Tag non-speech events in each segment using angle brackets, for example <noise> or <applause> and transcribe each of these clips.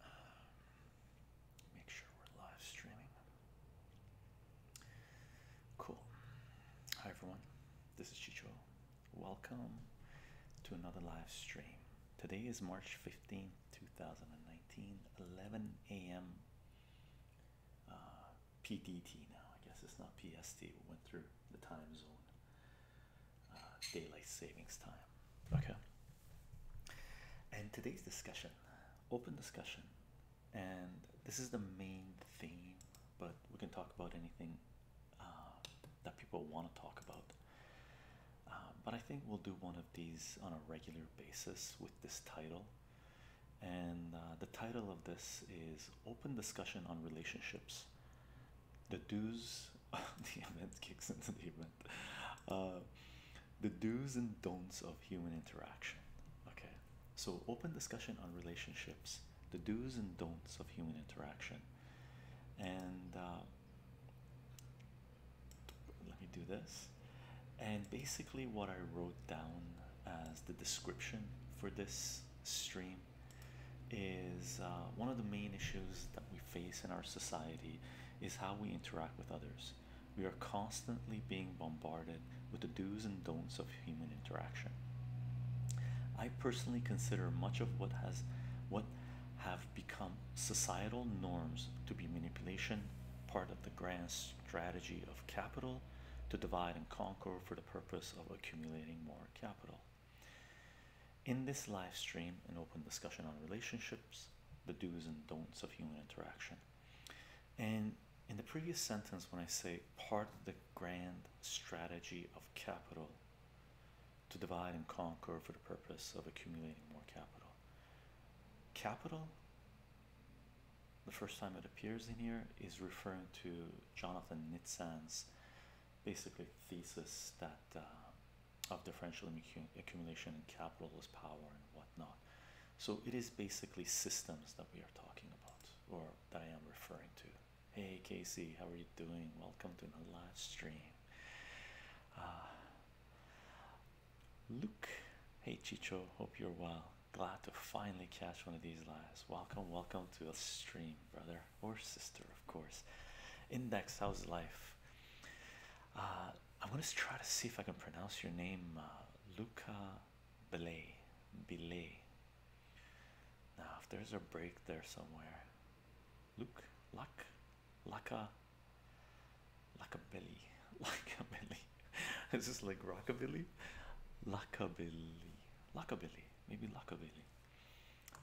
Um, make sure we're live streaming. Cool. Hi everyone, this is Chicho. Welcome to another live stream. Today is March 15th, 2019, 11 a.m. Uh, PDT now. I guess it's not PST. We went through the time zone. Uh, daylight savings time. Okay. And today's discussion, open discussion, and this is the main theme, but we can talk about anything uh, that people want to talk about. Uh, but I think we'll do one of these on a regular basis with this title. And the title of this is Open Discussion on Relationships the dues the event kicks into the event uh, the do's and don'ts of human interaction okay so open discussion on relationships the do's and don'ts of human interaction and uh, let me do this and basically what i wrote down as the description for this stream is uh, one of the main issues that we face in our society is how we interact with others. We are constantly being bombarded with the do's and don'ts of human interaction. I personally consider much of what has what have become societal norms to be manipulation, part of the grand strategy of capital to divide and conquer for the purpose of accumulating more capital. In this live stream, an open discussion on relationships, the do's and don'ts of human interaction. And in the previous sentence, when I say part of the grand strategy of capital to divide and conquer for the purpose of accumulating more capital, capital, the first time it appears in here, is referring to Jonathan Nitzan's Basically thesis that uh, of differential accumulation and capitalist power and whatnot. So it is basically systems that we are talking about, or that I am referring to. Hey Casey, how are you doing? Welcome to my live stream. Uh, Luke, hey Chicho, hope you're well. Glad to finally catch one of these lives. Welcome, welcome to the stream, brother or sister, of course. Index, how's life? Uh, I'm gonna try to see if I can pronounce your name, uh, Luca Belay. Belay. Now, if there's a break there somewhere, Luke, Luck, Laka, Lakabilly, Belly. Is this like rockabilly? Lockabilly, Lockabilly, maybe Lockabilly.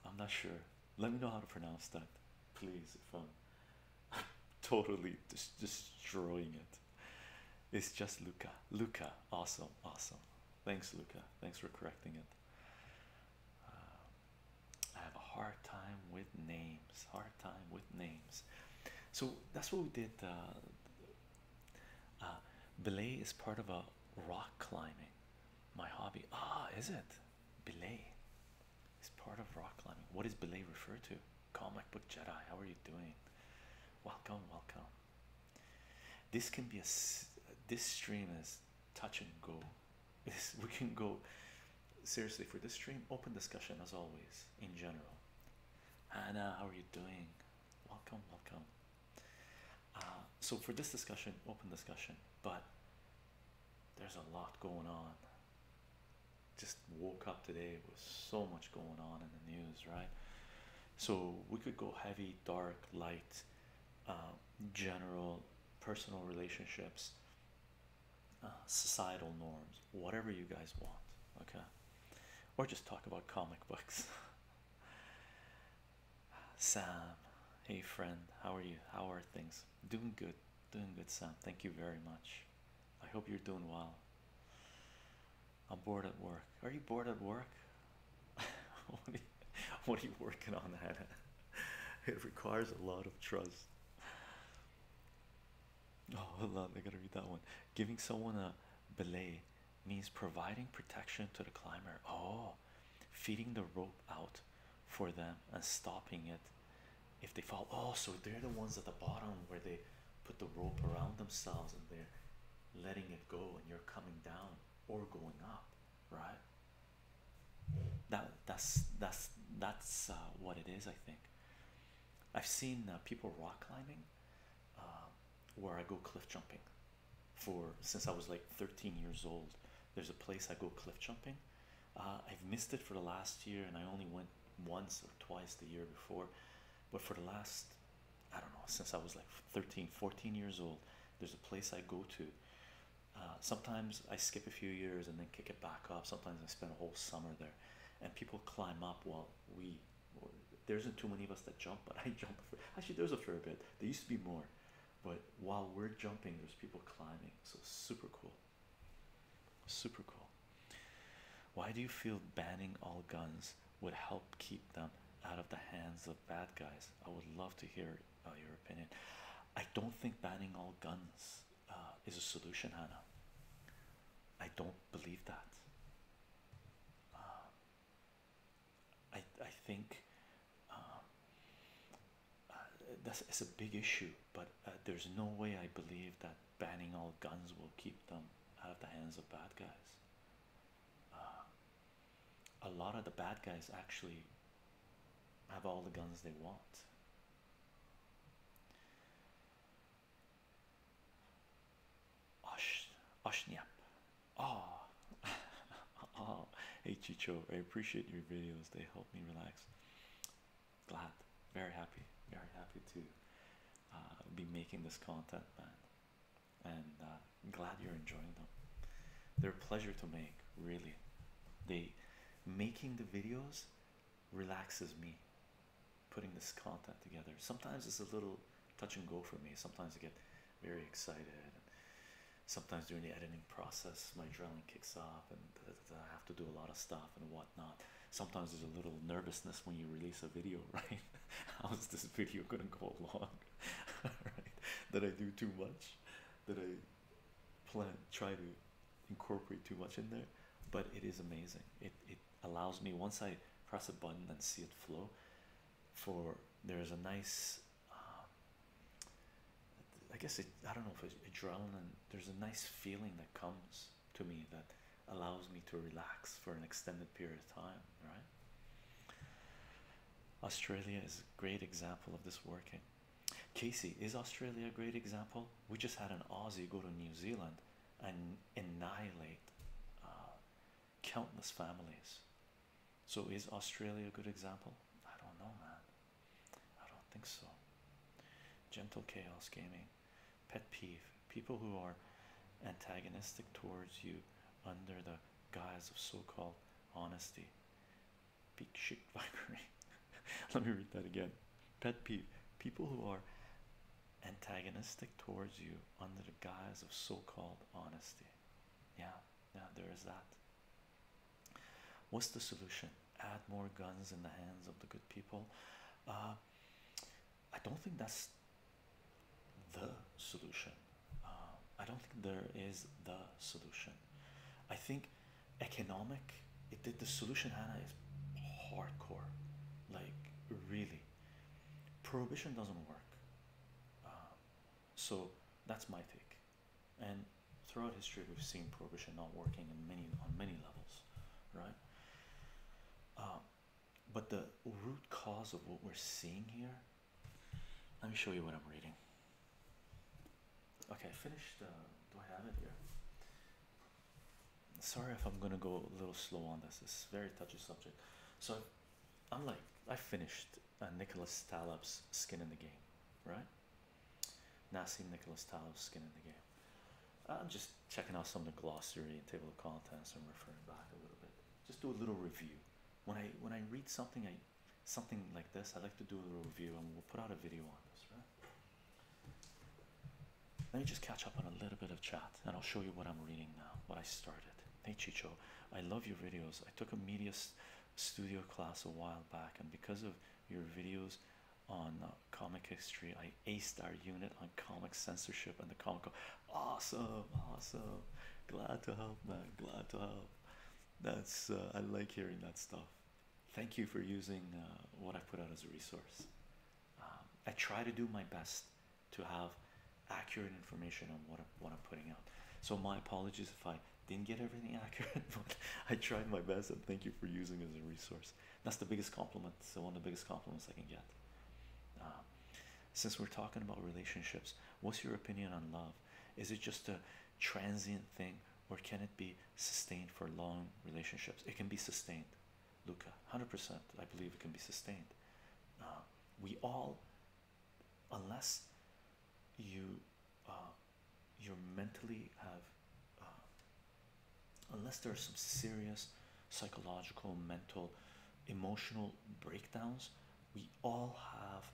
I'm not sure. Let me know how to pronounce that, please. If I'm <laughs> totally destroying it, it's just Luca. Luca, awesome, awesome. Thanks, Luca. Thanks for correcting it. Uh, I have a hard time with names. Hard time with names. So that's what we did. Uh, uh, belay is part of a rock climbing. My hobby. Ah, is it? belay is part of rock climbing. What does belay refer to? Comic book Jedi, how are you doing? Welcome, welcome. This can be a this stream is touch and go. <laughs> we can go seriously for this stream. Open discussion as always in general. Anna, how are you doing? Welcome, welcome. Uh, so for this discussion, open discussion, but there's a lot going on. Just woke up today with so much going on in the news, right? So we could go heavy, dark, light, um, general, personal relationships, uh, societal norms, whatever you guys want, okay? Or just talk about comic <laughs> books. Sam, hey friend, how are you? How are things? Doing good, doing good, Sam. Thank you very much. I hope you're doing well. I'm bored at work. Are you bored at work? <laughs> what, are you, working on, Hannah? <laughs> it requires a lot of trust. Oh, hold on, I gotta read that one. Giving someone a belay means providing protection to the climber. Oh, feeding the rope out for them and stopping it if they fall. Oh, so they're the ones at the bottom where they put the rope around themselves and they're letting it go, and you're coming down or going up, right? That that's that's that's uh, what it is. I think I've seen uh, people rock climbing, uh, where I go cliff jumping, for since I was like 13 years old. There's a place I go cliff jumping. Uh, I've missed it for the last year, and I only went once or twice the year before. But for the last, I don't know, since I was like 13, 14 years old, there's a place I go to. Uh, sometimes I skip a few years and then kick it back up. Sometimes I spend a whole summer there, and people climb up while we. There isn't too many of us that jump, but <laughs> I jump. actually, there's a fair bit. There used to be more. But while we're jumping, there's people climbing. So super cool. Super cool. Why do you feel banning all guns would help keep them out of the hands of bad guys? I would love to hear uh, your opinion. I don't think banning all guns uh, is a solution, Hannah. I don't believe that. Uh, I I think uh, that's it's a big issue but uh, there's no way i believe that banning all guns will keep them out of the hands of bad guys uh, a lot of the bad guys actually have all the guns they want Osh, Oshniap. Oh, <laughs> oh, hey Chicho, I appreciate your videos. They help me relax. Glad, very happy, very happy to uh, be making this content, man. And uh, glad you're enjoying them. They're a pleasure to make, really. They making the videos relaxes me. Putting this content together. Sometimes it's a little touch and go for me. Sometimes I get very excited sometimes during the editing process my adrenaline kicks off, and I have to do a lot of stuff and whatnot. Sometimes there's a little nervousness when you release a video, <laughs> right? How is this video gonna go along? <laughs> right? Did I do too much? Did I plan try to incorporate too much in there? But it is amazing. It it allows me once I press a button and see it flow. For there is a nice um, I guess it I don't know if it's adrenaline there's a nice feeling that comes to me that allows me to relax for an extended period of time right Australia is a great example of this working Casey is Australia a great example we just had an Aussie go to New Zealand and annihilate uh, countless families so is Australia a good example I don't know man I don't think so. Gentle Chaos Gaming. Pet peeve people who are antagonistic towards you under the guise of so called honesty. Peak shit <laughs> vibrate. Let me read that again. Pet peeve people who are antagonistic towards you under the guise of so called honesty. Yeah, yeah, there is that. What's the solution? Add more guns in the hands of the good people. Uh, I don't think that's the solution. Uh, I don't think there is the solution. I think economic. It the solution, Hannah, is hardcore. Like really, prohibition doesn't work. Uh, so that's my take and throughout history we've seen prohibition not working in many on many levels right uh, but the root cause of what we're seeing here let me show you what i'm reading okay finished uh, do i have it here sorry if i'm gonna go a little slow on this it's a very touchy subject so i'm like i finished uh, nicholas taleb's skin in the game right not seen Nicholas Tao's skin in the game. I'm just checking out some of the glossary and table of contents and referring back a little bit. Just do a little review. When I when I read something I something like this, I like to do a little review and we'll put out a video on this, right? Let me just catch up on a little bit of chat and I'll show you what I'm reading now, what I started. Hey Chicho, I love your videos. I took a media studio class a while back and because of your videos on comic history. I aced our unit on comic censorship and the comic. Awesome, awesome. Glad to help, man. Glad to help. That's uh, I like hearing that stuff. Thank you for using uh, what I put out as a resource. Um, I try to do my best to have accurate information on what I'm, what I'm putting out. So my apologies if I didn't get everything <laughs> accurate, but I tried my best and thank you for using as a resource. That's the biggest compliment. So one of the biggest compliments I can get. Uh, since we're talking about relationships, what's your opinion on love? Is it just a transient thing, or can it be sustained for long relationships? It can be sustained, Luca. Hundred percent, I believe it can be sustained. Uh, we all, unless you uh, you're mentally have uh, unless there are some serious psychological mental emotional breakdowns we all have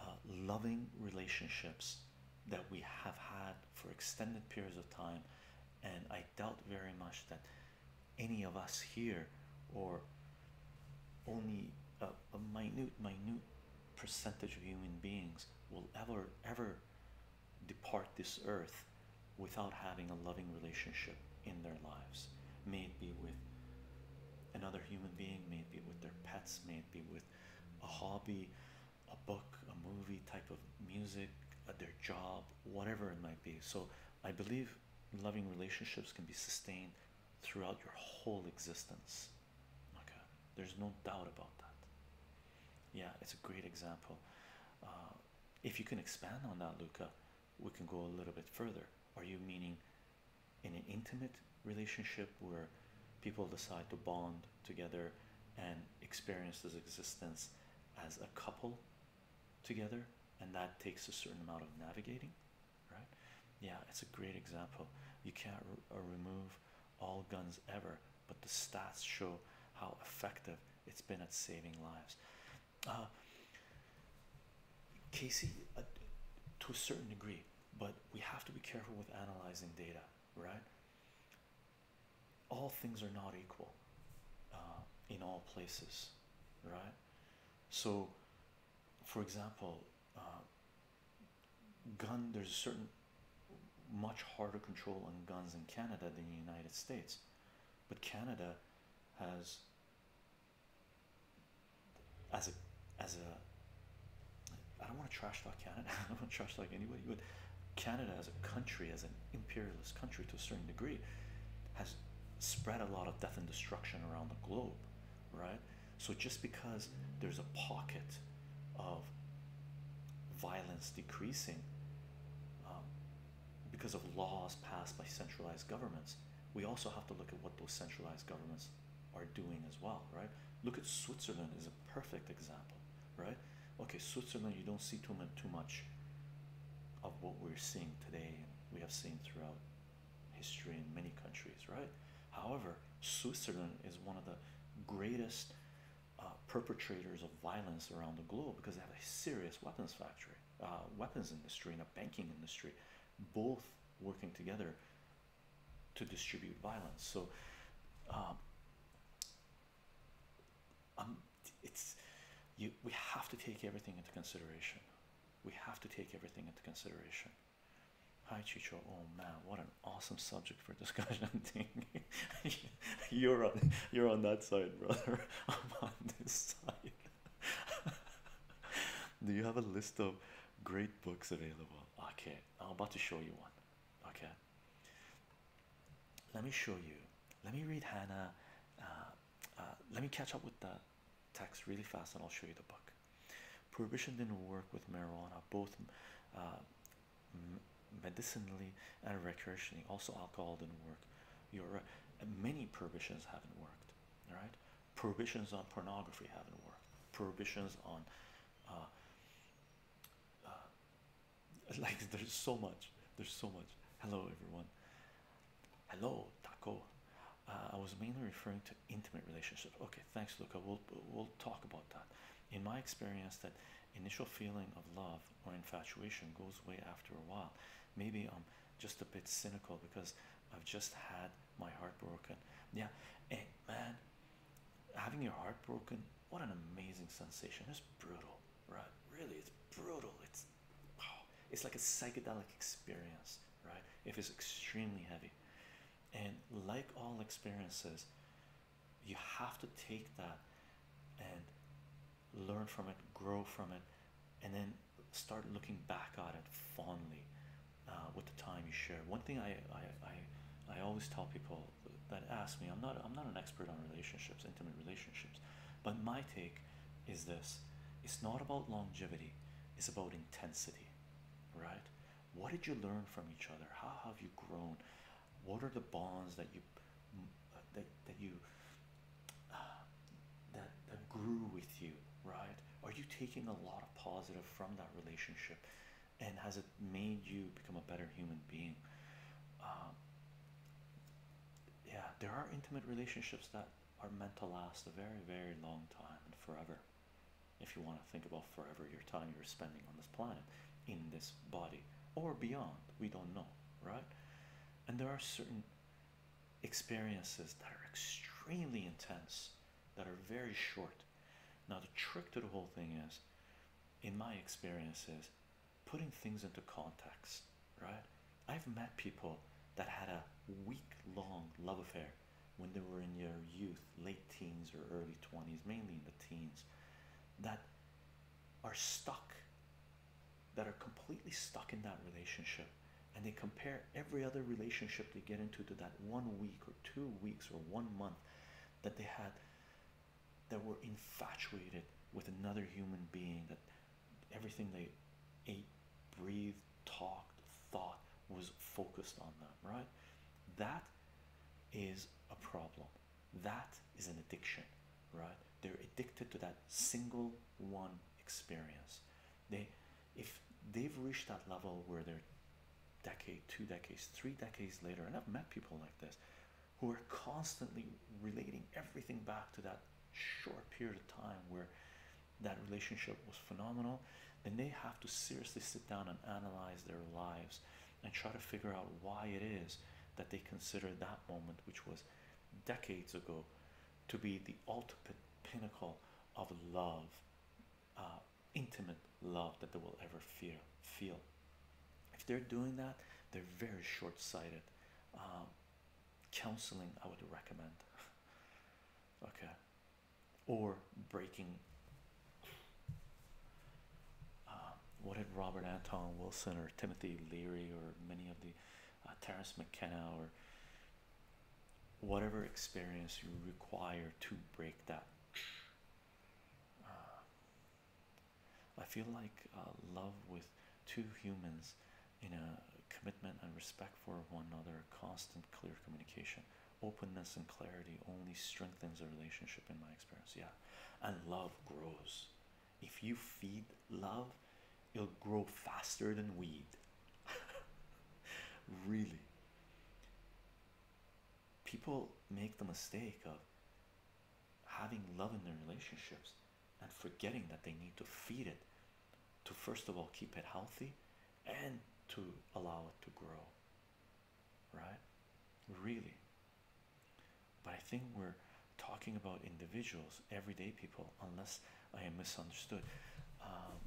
uh, loving relationships that we have had for extended periods of time and i doubt very much that any of us here or only a minute minute percentage of human beings will ever ever depart this earth without having a loving relationship in their lives may it be with another human being may it be with their pets may it be with a hobby a book a movie type of music uh, their job whatever it might be so i believe loving relationships can be sustained throughout your whole existence Okay, there's no doubt about that. Yeah, it's a great example. Uh, if you can expand on that, Luca, we can go a little bit further. Are you meaning in an intimate relationship where people decide to bond together and experience this existence as a couple together? And that takes a certain amount of navigating, right? Yeah, it's a great example. You can't uh, remove all guns ever, but the stats show how effective it's been at saving lives. Uh, Casey, uh, to a certain degree, but we have to be careful with analyzing data, right? All things are not equal uh, in all places, right? So, for example, gun there's a certain much harder control on guns in Canada than the United States, but Canada has as a as a I don't want to trash like Canada. <laughs> I don't want to trash like anybody, but Canada as a country, as an imperialist country to a certain degree, has spread a lot of death and destruction around the globe, right? So just because there's a pocket of violence decreasing um, because of laws passed by centralized governments, we also have to look at what those centralized governments are doing as well, right? Look at Switzerland as a perfect example, right? Okay, Switzerland, you don't see too much, of what we're seeing today we have seen throughout history in many countries, right? However, Switzerland is one of the greatest uh, perpetrators of violence around the globe because they have a serious weapons factory, uh, weapons industry, and a banking industry, both working together to distribute violence. So, um, um, it's you. We have to take everything into consideration. We have to take everything into consideration. Hi Chicho, oh man, what an awesome subject for discussion. <laughs> <laughs> you're on you're on that side, brother. <laughs> I'm on this side. Do you have a list of great books available? Okay, I'm about to show you one. Okay. Let me show you. Let me read Hannah. Uh, uh, let me catch up with the text really fast and I'll show you the book. Prohibition didn't work with marijuana. Both uh, medicinally and recreationally also alcohol didn't work your many prohibitions haven't worked right prohibitions on pornography haven't worked prohibitions on uh, uh, <laughs> like there's so much there's so much hello everyone hello taco uh, I was mainly referring to intimate relationships okay thanks, Luca. We'll talk about that. In my experience, that initial feeling of love or infatuation goes away after a while. Maybe I'm just a bit cynical because I've just had my heart broken. Yeah, eh, man, having your heart broken, what an amazing sensation. It's brutal, right? Really, it's brutal. It's oh, it's like a psychedelic experience, right? If it's extremely heavy. And like all experiences, you have to take that and learn from it, grow from it, and then start looking back at it fondly uh, with the time you share. One thing I, I I I always tell people that ask me, I'm not I'm not an expert on relationships, intimate relationships, but my take is this: it's not about longevity, it's about intensity, right? what did you learn from each other how have you grown what are the bonds that you that, that you uh, that, that grew with you right are you taking a lot of positive from that relationship and has it made you become a better human being um, yeah there are intimate relationships that are meant to last a very very long time and forever if you want to think about forever your time you're spending on this planet in this body or beyond we don't know right and there are certain experiences that are extremely intense that are very short now the trick to the whole thing is in my experiences, putting things into context right i've met people that had a week long love affair when they were in their youth late teens or early 20s, mainly in the teens, that are stuck, that are completely stuck in that relationship. And they compare every other relationship they get into to that one week or two weeks or one month that they had that were infatuated with another human being that everything they ate, breathed, talked, thought was focused on them, right? That is a problem. That is an addiction, right? They're addicted to that single one experience. They, if they've reached that level where they're decade, two decades, three decades later, and I've met people like this who are constantly relating everything back to that short period of time where that relationship was phenomenal, then they have to seriously sit down and analyze their lives and try to figure out why it is that they consider that moment, which was decades ago, to be the ultimate pinnacle of love, uh, intimate love that they will ever fear, feel. If they're doing that, they're very short sighted. Um, counseling, I would recommend. <laughs> okay. Or breaking uh, what did Robert Anton Wilson or Timothy Leary or many of the uh, McKenna or whatever experience you require to break that? Uh, I feel like uh, love with two humans in a commitment and respect for one another, constant, clear communication openness and clarity only strengthens a relationship in my experience yeah and love grows if you feed love it'll grow faster than weed <laughs> really people make the mistake of having love in their relationships and forgetting that they need to feed it to first of all keep it healthy and to allow it to grow right? Really. But I think we're talking about individuals, everyday people, unless I am misunderstood. Um,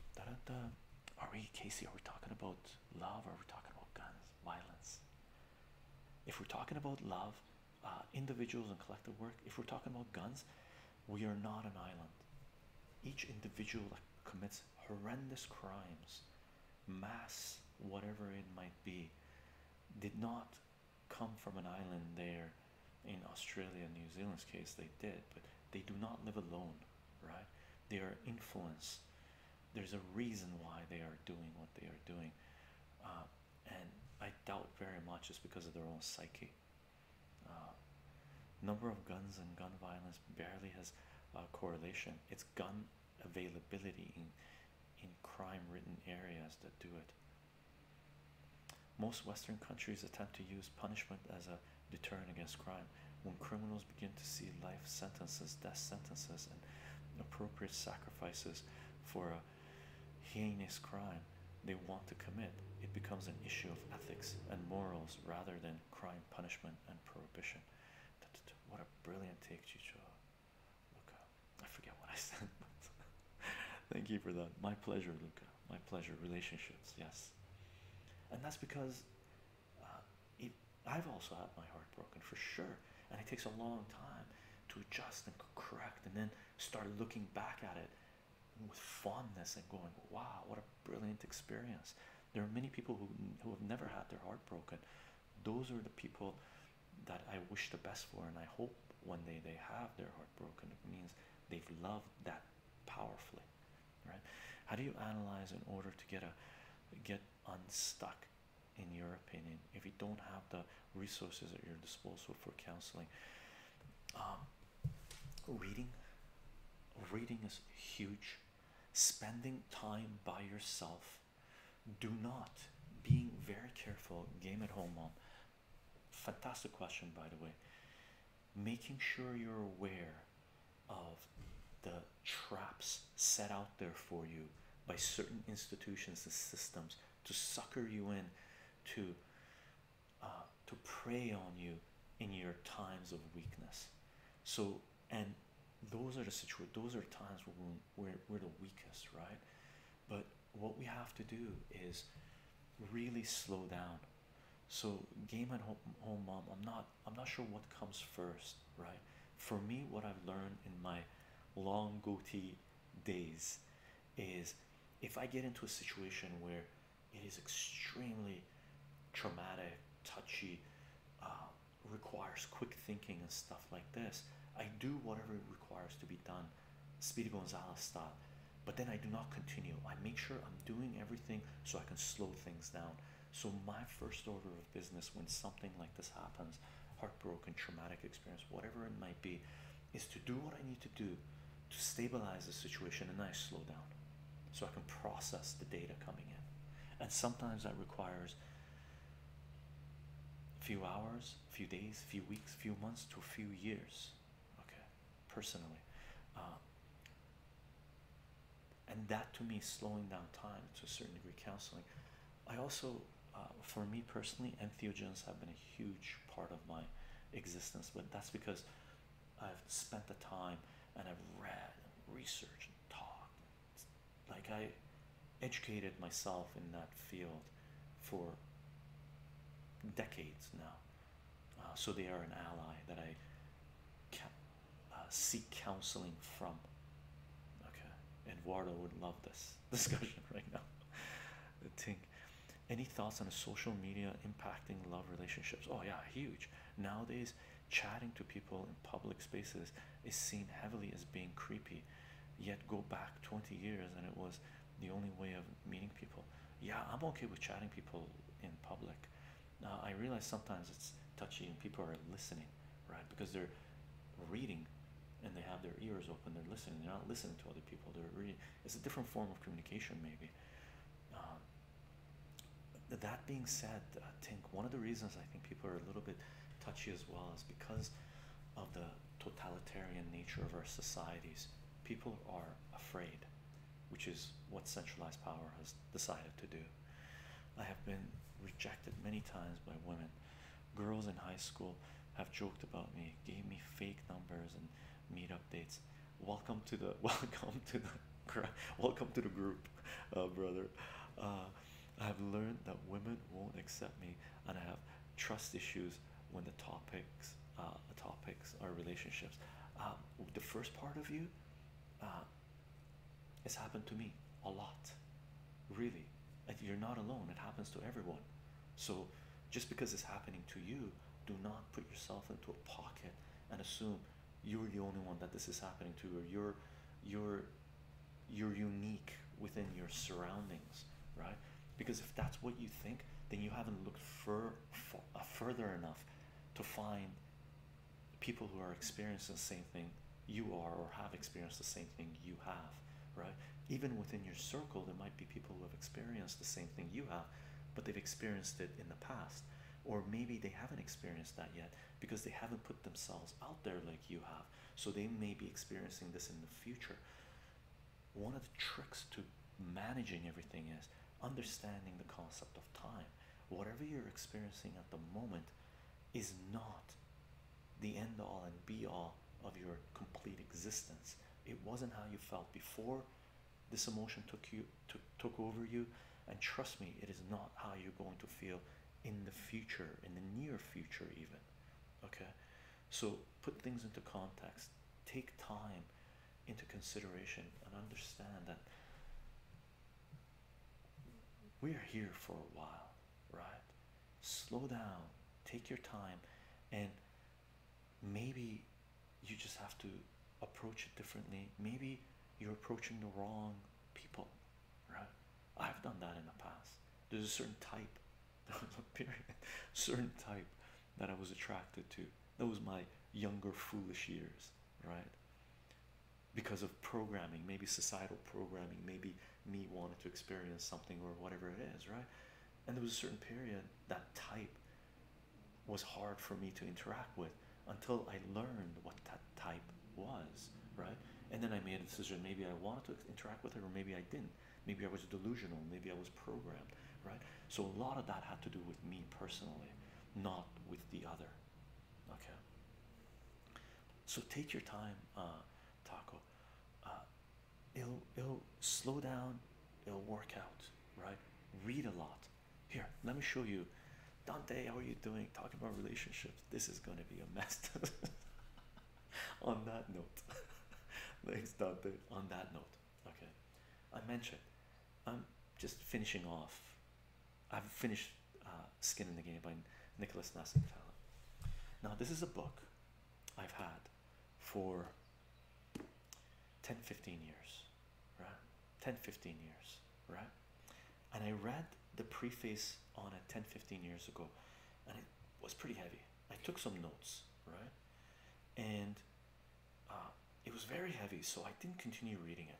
are we, Casey, are we talking about love or are we talking about guns, violence? If we're talking about love, uh, individuals and collective work, if we're talking about guns, we are not an island. Each individual that commits horrendous crimes mass, whatever it might be, did not come from an island there in Australia, New Zealand's case, they did, but they do not live alone, right? They are influenced. There's a reason why they are doing what they are doing. Uh, and I doubt very much it's because of their own psyche. Uh, number of guns and gun violence barely has a correlation. It's gun availability in, in crime ridden areas that do it. Most Western countries attempt to use punishment as a deterrent against crime. When criminals begin to see life sentences, death sentences, and appropriate sacrifices for a heinous crime they want to commit, it becomes an issue of ethics and morals rather than crime punishment and prohibition. What a brilliant take, Chicho. Luca. I forget what I <laughs> said. Thank you for that. My pleasure, Luca. My pleasure. Relationships, yes. And that's because uh, it, I've also had my heart broken for sure. And it takes a long time to adjust and correct and then start looking back at it with fondness and going, wow, what a brilliant experience. There are many people who, who have never had their heart broken those are the people that I wish the best for, and I hope one day they have their heart broken. It means they've loved that powerfully, right? How do you analyze in order to get a get unstuck? In your opinion, if you don't have the resources at your disposal for counseling, um, reading, reading is huge. Spending time by yourself do not being very careful game at home mom fantastic question by the way making sure you're aware of the traps set out there for you by certain institutions and systems to sucker you in to uh, to prey on you in your times of weakness so and those are the situ those are times when we're, we're the weakest, right? But what we have to do is really slow down. So game at home, home mom, I'm not I'm not sure what comes first, right? For me, what I've learned in my long goatee days is if I get into a situation where it is extremely traumatic, touchy, um, requires quick thinking and stuff like this. I do whatever it requires to be done, Speedy Gonzalez style, but then I do not continue. I make sure I'm doing everything so I can slow things down. So, my first order of business when something like this happens heartbroken, traumatic experience, whatever it might be is to do what I need to do to stabilize the situation and I slow down so I can process the data coming in. And sometimes that requires few hours, few days, few weeks, few months to a few years. Okay, personally. Uh, and that to me is slowing down time to a certain degree, counseling. I also, uh, for me personally, entheogens have been a huge part of my existence, but that's because I've spent the time and I've read and researched and talked like I educated myself in that field for decades now. Uh, so they are an ally that I uh, seek counseling from. Okay, Eduardo would love this <laughs> discussion right now. I think. Any thoughts on a social media impacting love relationships? Oh yeah, huge. Nowadays, chatting to people public spaces is seen heavily as being creepy. Yet go back 20 years and it was the only way of meeting people. Yeah, I'm okay with chatting people in public. Now uh, I realize sometimes it's touchy and people are listening, right? Because they're reading and they have their ears open, they're listening, they're not listening to other people, they're reading. It's a different form of communication, maybe. Um, that being said, I think one of the reasons I think people are a little bit touchy as well is because of the totalitarian nature of our societies. People are afraid, which is what centralized power has decided to do. I have been rejected many times by women. Girls in high school have joked about me, gave me fake numbers and made updates. Welcome to the <laughs> welcome to the welcome to the group, uh, brother. Uh, I have learned that women won't accept me, and I have trust issues when the topics, uh, the topics are relationships. Um, the first part of you, uh, it's happened to me a lot, really. And you're not alone. It happens to everyone. So, just because it's happening to you, do not put yourself into a pocket and assume you're the only one that this is happening to, or you're you're you're unique within your surroundings, right? Because if that's what you think, then you haven't looked fur, fur, uh, further enough to find people who are experiencing the same thing you are or have experienced the same thing you have, right? Even within your circle, there might be people who have experienced the same thing you have, but they've experienced it in the past. Or maybe they haven't experienced that yet because they haven't put themselves out there like you have so they may be experiencing this in the future. One of the tricks to managing everything is understanding the concept of time. Whatever you're experiencing at the moment is not the end all and be all of your complete existence. It wasn't how you felt before this emotion took you to, took over you and trust me it is not how you're going to feel in the future in the near future even Okay, so put things into context, take time into consideration, and understand that we are here for a while, right? Slow down, take your time, and maybe you just have to approach it differently. Maybe you're approaching the wrong people right? I've done that in the past. There's a certain type, was <laughs> a period, certain type that I was attracted to. That was my younger, foolish years, right? Because of programming, maybe societal programming, maybe me wanting to experience something or whatever it is, right? And there was a certain period that type was hard for me to interact with until I learned what that type was, right? And then I made a decision. Maybe I wanted to interact with her, or maybe I didn't. Maybe I was delusional. Maybe I was programmed, right? So a lot of that had to do with me personally, not with the other. Okay. So take your time, uh, Taco. Uh, it'll it'll slow down. It'll work out, right? Read a lot. Here, let me show you. Dante, how are you doing? Talking about relationships. This is going to be a mess. <laughs> <laughs> on that note, <laughs> thanks, Dante. On that note, okay. I mentioned I'm just finishing off. I've finished uh, Skin in the Game by Nicholas Nassim Taleb. Now, this is a book I've had for 10 15 years, right? 10 15 years, right? And I read the preface on it 10 15 years ago and it was pretty heavy. I took some notes, right? And uh, it was very heavy, so I didn't continue reading it.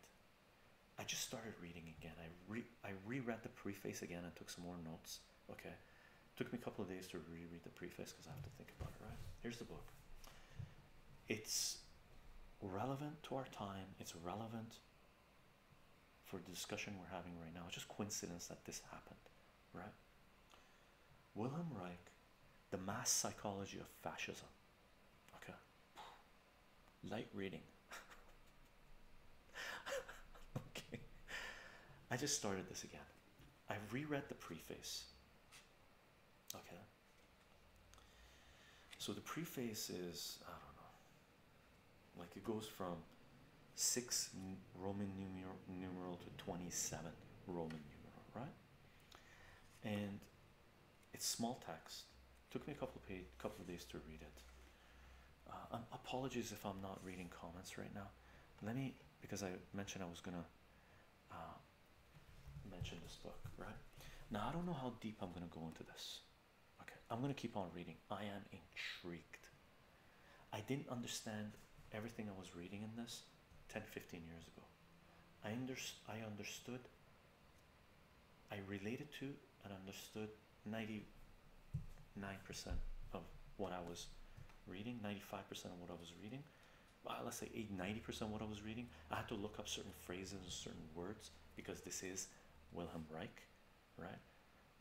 I just started reading again. I re I reread the preface again and took some more notes. Okay, took me a couple of days to reread the preface because I have to think about it. Right? Here's the book. It's relevant to our time. It's relevant for the discussion we're having right now. It's just coincidence that this happened, right? Wilhelm Reich, The Mass Psychology of Fascism. Okay. Light reading. <laughs> okay. I just started this again. I've reread the preface. Okay. So the preface is, I don't know, like it goes from six Roman numeral, numeral to 27 Roman numeral, right? And it's small text. Took me a couple of page, couple of days to read it. Uh, um, apologies if I'm not reading comments right now. Let me, because I mentioned I was gonna uh, mention this book, right? Now I don't know how deep I'm gonna go into this. Okay, I'm gonna keep on reading. I am intrigued. I didn't understand everything I was reading in this 10 15 years ago. I, under I understood, I related to, and understood 99% of what I was reading, 95% of what I was reading. Well, uh, let's say 80 percent of what I was reading. I had to look up certain phrases and certain words because this is Wilhelm Reich right?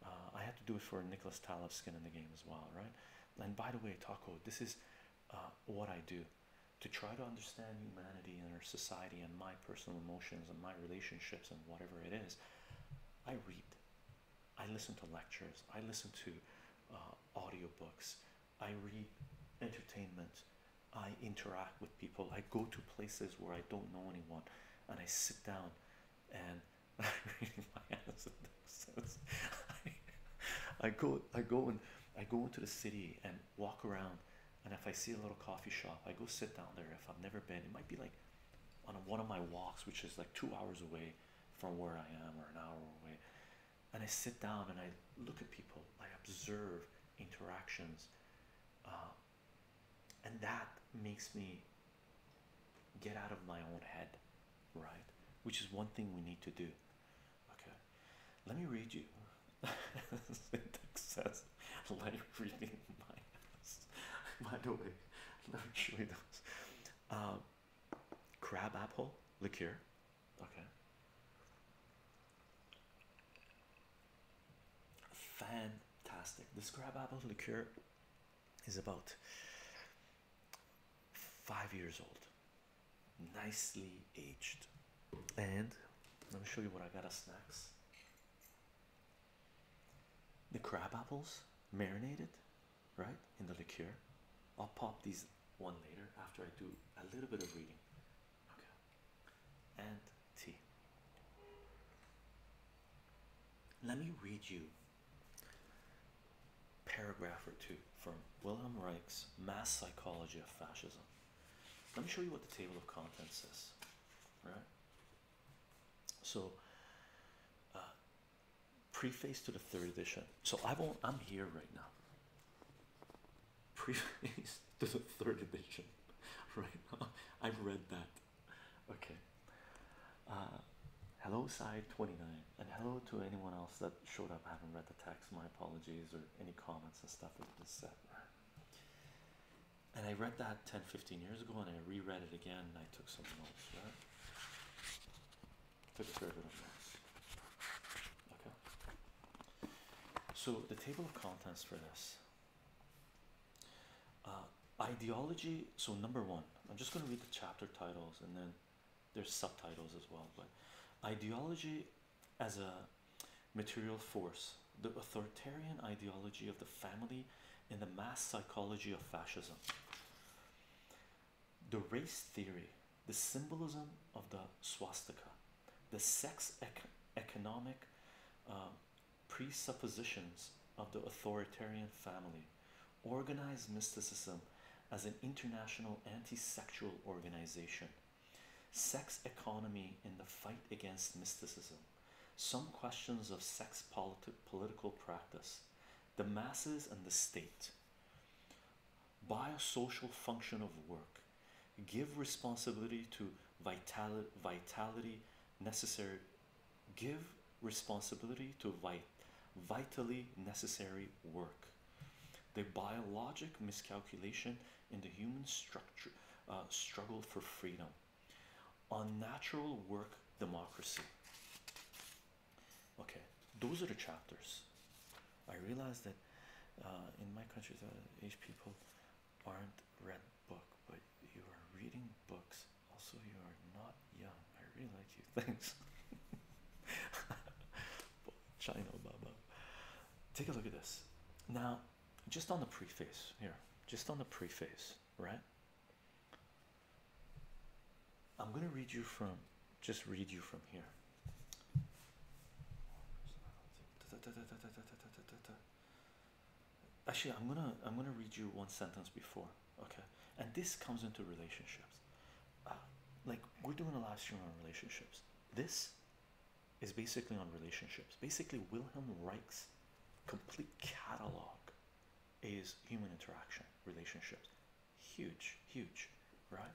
Uh, I had to do it for Nicholas Taleb's skin in the game as well, right? And by the way, Taco, this is uh, what I do to try to understand humanity and our society and my personal emotions and my relationships and whatever it is. I read, I listen to lectures, I listen to uh, audiobooks, I read entertainment, I interact with people, I go to places where I don't know anyone, and I sit down and <laughs> <laughs> I, go I go and I go into the city and walk around and if I see a little coffee shop I go sit down there if I've never been it might be like on one of my walks which is like two hours away from where I am or an hour away and I sit down and I look at people I observe interactions uh, and that makes me get out of my own head, right? Which is one thing we need to do. Okay, let me read you. Syntax <laughs> says, like reading <laughs> By the way, <laughs> let me show you uh, crab apple liqueur. Okay. Fantastic. The crab apple liqueur is about five years old, nicely aged. And let me show you what I got as snacks the crab apples marinated, right, in the liqueur. I'll pop these one later after I do a little bit of reading. Okay. And tea. Let me read you paragraph or two from Wilhelm Reich's Mass Psychology of Fascism. Let me show you what the table of contents is. Right? So, uh, preface to the third edition. So, I will I'm here right now. Preface <laughs> to the third edition <laughs> right now. I've read that <laughs> okay. Uh, hello, side 29, and hello to anyone else that showed up. I haven't read the text, my apologies, or any comments and stuff with this And I read that 10 15 years ago, and I reread it again, and I took some notes, Took a fair bit notes. Okay. So, the table of contents for this uh, ideology. So number one, I'm just going to read the chapter titles and then there's subtitles as well. But ideology as a material force, the authoritarian ideology of the family, in the mass psychology of fascism. The race theory, the symbolism of the swastika, the sex economic uh, presuppositions of the authoritarian family, organized mysticism as an international anti sexual organization, sex economy in the fight against mysticism, some questions of sex politi political practice, the masses and the state, biosocial function of work, give responsibility to vitality, vitality necessary give responsibility to vit vitally necessary work the biologic miscalculation in the human structure uh, struggle for freedom unnatural work democracy okay those are the chapters i realize that uh, in my country the age people aren't read book but you are reading books also, you are not young. I really like you. Thanks. China, Baba. Take a look at this. Now, just on the preface here, just on the preface, right? I'm going to read you from, just read you from here actually i'm gonna i'm gonna read you one sentence before okay and this comes into relationships uh, like we're doing a live stream on relationships this is basically on relationships basically wilhelm reich's complete catalog is human interaction relationships huge huge right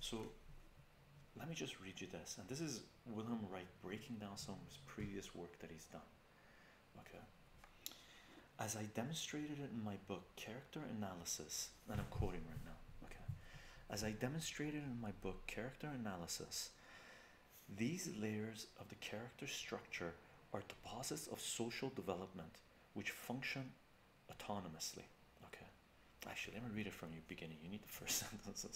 so let me just read you this and this is wilhelm reich breaking down some of his previous work that he's done Okay. As I demonstrated it in my book, Character Analysis, and I'm quoting right now. Okay. As I demonstrated in my book, Character Analysis, these layers of the character structure are deposits of social development which function autonomously. Okay. Actually, let me read it from your beginning. You need the first <laughs> sentence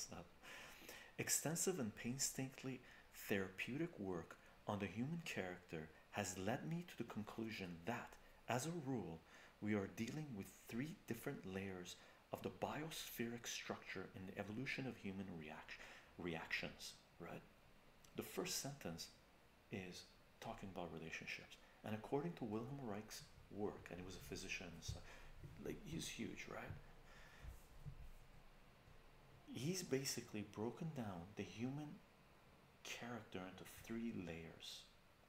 Extensive and painstakingly therapeutic work on the human character has led me to the conclusion that, as a rule, we are dealing with three different layers of the biospheric structure in the evolution of human reaction reactions right the first sentence is talking about relationships and according to wilhelm reich's work and he was a physician like he's huge right he's basically broken down the human character into three layers.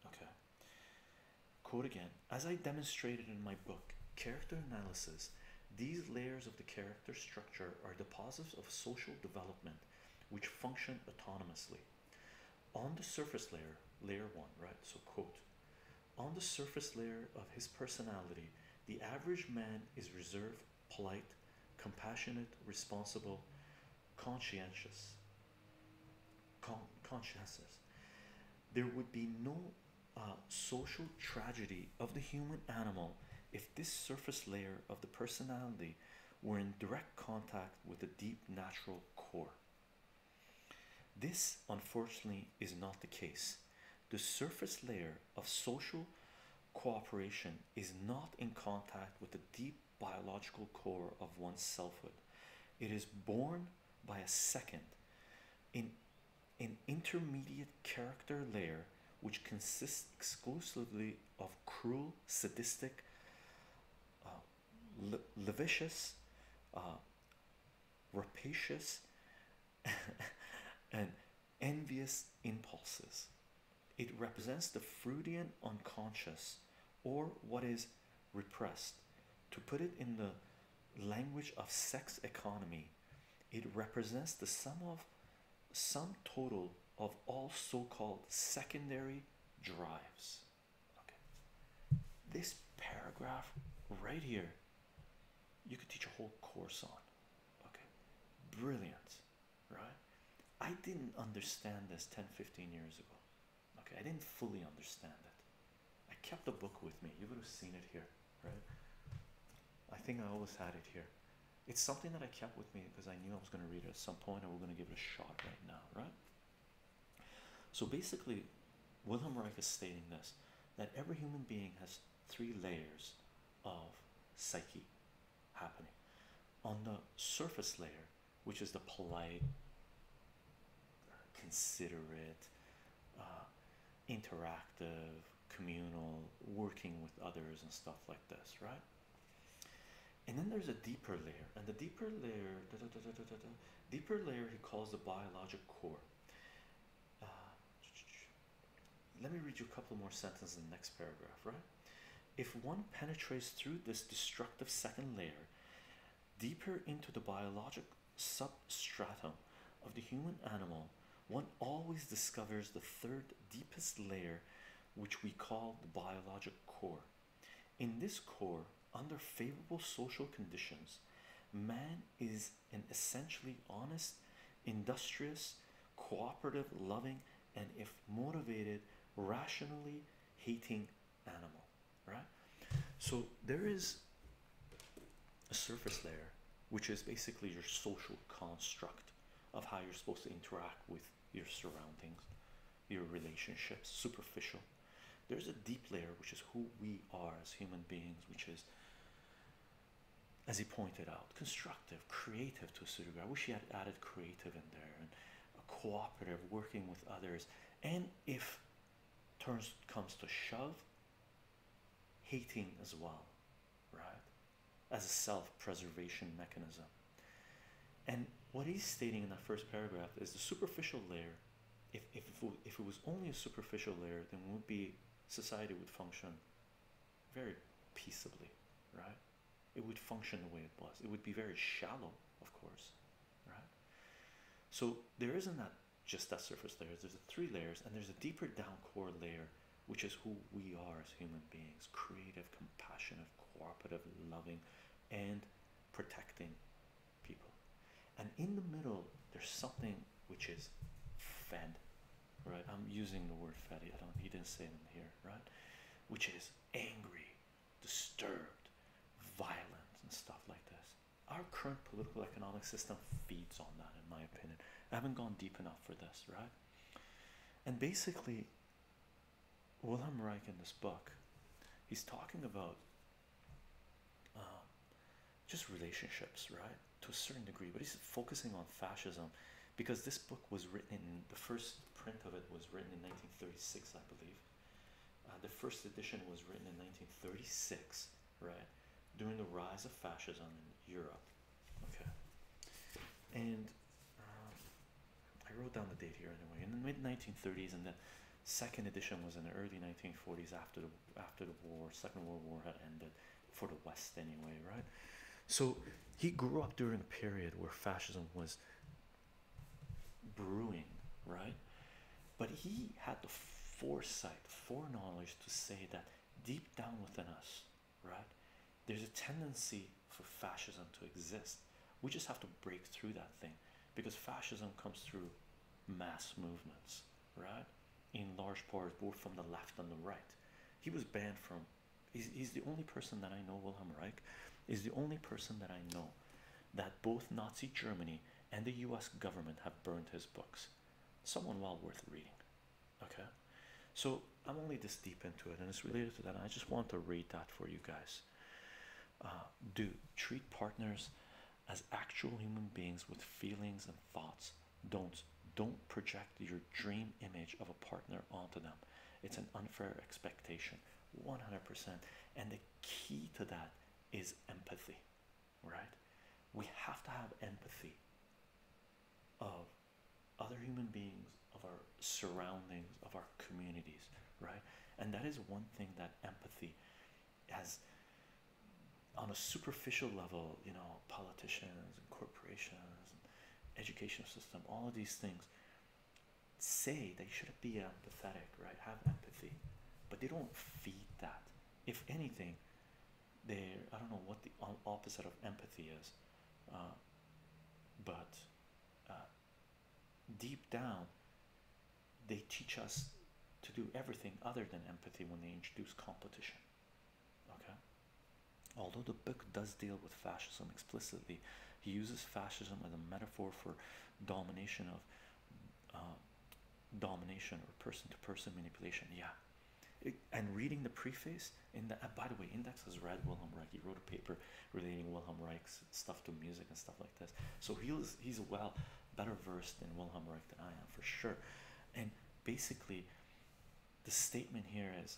Okay. Quote again As I demonstrated in my book, Character Analysis, these layers of the character structure are deposits of social development which function autonomously. On the surface layer, layer one, right? So, quote, on the surface layer of his personality, the average man is reserved polite, compassionate, responsible, conscientious. Con conscientious. There would be no uh, social tragedy of the human animal if this surface layer of the personality were in direct contact with the deep natural core. This, unfortunately, is not the case. The surface layer of social cooperation is not in contact with the deep biological core of one's selfhood. It is born by a second in an intermediate character layer which consists exclusively of cruel, sadistic, uh, le levitious, uh, rapacious, <laughs> and envious impulses. It represents the Freudian unconscious or what is repressed. To put it in the language of sex economy, it represents the sum of sum total of all so-called secondary drives. Okay. This paragraph right here, you could teach a whole course on. Okay. Brilliant right? I didn't understand this 10 15 years ago. Okay, I didn't fully understand it. I kept the book with me. You would have seen it here, right? I think I always had it here. It's something that I kept with me because I knew I was going to read it at some point and we're going to give it a shot right now, right? So basically, Wilhelm Reich is stating this that every human being has three layers of psyche happening on the surface layer, which is the polite, considerate, uh, interactive, communal, working with others, and stuff like this, right? And then there's a deeper layer, and the deeper layer, deeper layer, he calls the biologic core. Uh, let me read you a couple more sentences in the next paragraph, right? If one penetrates through this destructive second layer deeper into the biologic substratum of the human animal, one always discovers the third deepest layer, which we call the biologic core. In this core, under favorable social conditions, man is an essentially honest, industrious, cooperative, loving, and if motivated rationally hating animal right so there is a surface layer which is basically your social construct of how you're supposed to interact with your surroundings your relationships superficial there's a deep layer which is who we are as human beings which is as he pointed out construct creative to a certain degree. I wish he had added creative in there and cooperative, working with others. And if turns comes to shove, hating as well, right? As a self preservation mechanism. And what he's stating in that first paragraph is the superficial layer. If, if, if it was only a superficial layer, then would be society would function very peaceably, right? It would function the way it was. It would be very shallow, of course, right? So there isn't that just that surface layer. There's a three layers, and there's a deeper down core layer, which is who we are as human beings: creative, compassionate, cooperative, loving, and protecting people. And in the middle, there's something which is fed right? I'm using the word fatty. I don't. He didn't say them here, right? Which is angry, disturbed, violent, and stuff like this. Our current political economic system feeds on that, in my opinion. I haven't gone deep enough for this, right? And basically, Wilhelm Reich in this book, he's talking about um, just relationships, right? To a certain degree, but he's focusing on fascism because this book was written in the first print of it was written in 1936, I believe. Uh, the first edition was written in 1936, right, during the rise of fascism in Europe. Okay, and um, I wrote down the date here anyway. In the mid 1930s, and the second edition was in the early 1940s after the after the war, Second World War had ended for the West anyway, right? So he grew up during a period where fascism was brewing, right? But he had the foresight, foreknowledge to say that deep down within us, right, there's a tendency for fascism to exist. We just have to break through that thing because fascism comes through mass movements, right? In large part, both from the left and the right. He was banned from he's, he's the only person that I know, Wilhelm Reich, is the only person that I know that both Nazi Germany and the US government have burned his books. Someone well worth reading. Okay? So I'm only this deep into it and it's related to that. I just want to read that for you guys. Uh, do treat partners as actual human beings with feelings and thoughts. Don't don't project your dream image of a partner onto them. It's an unfair expectation, 100%. And the key to that is empathy, right? We have to have empathy of other human beings, of our surroundings, of our communities, right? And that is one thing that empathy has on a superficial level, you know, politicians and corporations and educational system, all of these things say they shouldn't be empathetic, right? Have empathy, but they don't feed that. If anything, they I don't know what the opposite of empathy is, uh, but uh, deep down, they teach us to do everything other than empathy when they introduce competition. Okay. Although the book does deal with fascism explicitly, he uses fascism as a metaphor for domination of uh, domination or person-to-person manipulation. Yeah, and reading the preface in the by the way, Index has read Wilhelm Reich. He wrote a paper relating Wilhelm Reich's stuff to music and stuff like this. So he's he's well better versed in Wilhelm Reich than I am for sure. And basically, the statement here is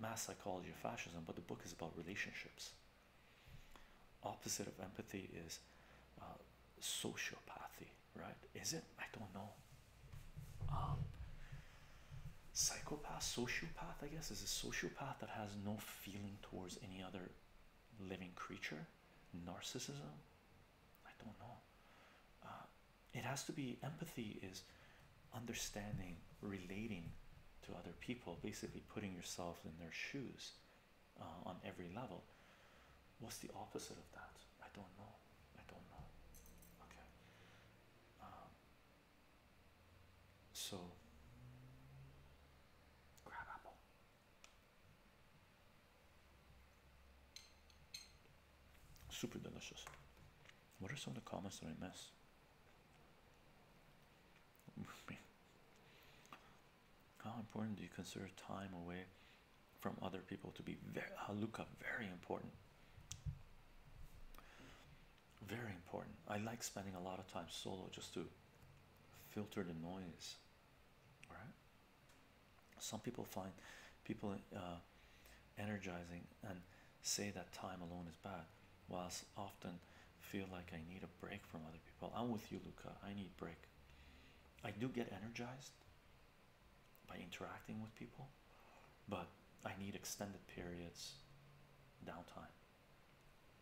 mass psychology of fascism, but the book is about relationships. Opposite of empathy is uh, sociopathy, right? Is it? I don't know. Um, psychopath, sociopath, I guess, is a sociopath that has no feeling towards any other living creature. Narcissism, I don't know. Uh, it has to be empathy is understanding, relating to other people, basically putting yourself in their shoes uh, on every level. What's the opposite of that? I don't know. I don't know. Okay. Um, so, grab Super delicious. What are some of the comments that I miss? <laughs> How important do you consider time away from other people to be very uh, very important? Very important. I like spending a lot of time solo just to filter the noise. Right? Some people find people uh, energizing and say that time alone is bad, whilst often feel like I need a break from other people. I'm with you, Luca. I need break. I do get energized by interacting with people, but I need extended periods downtime.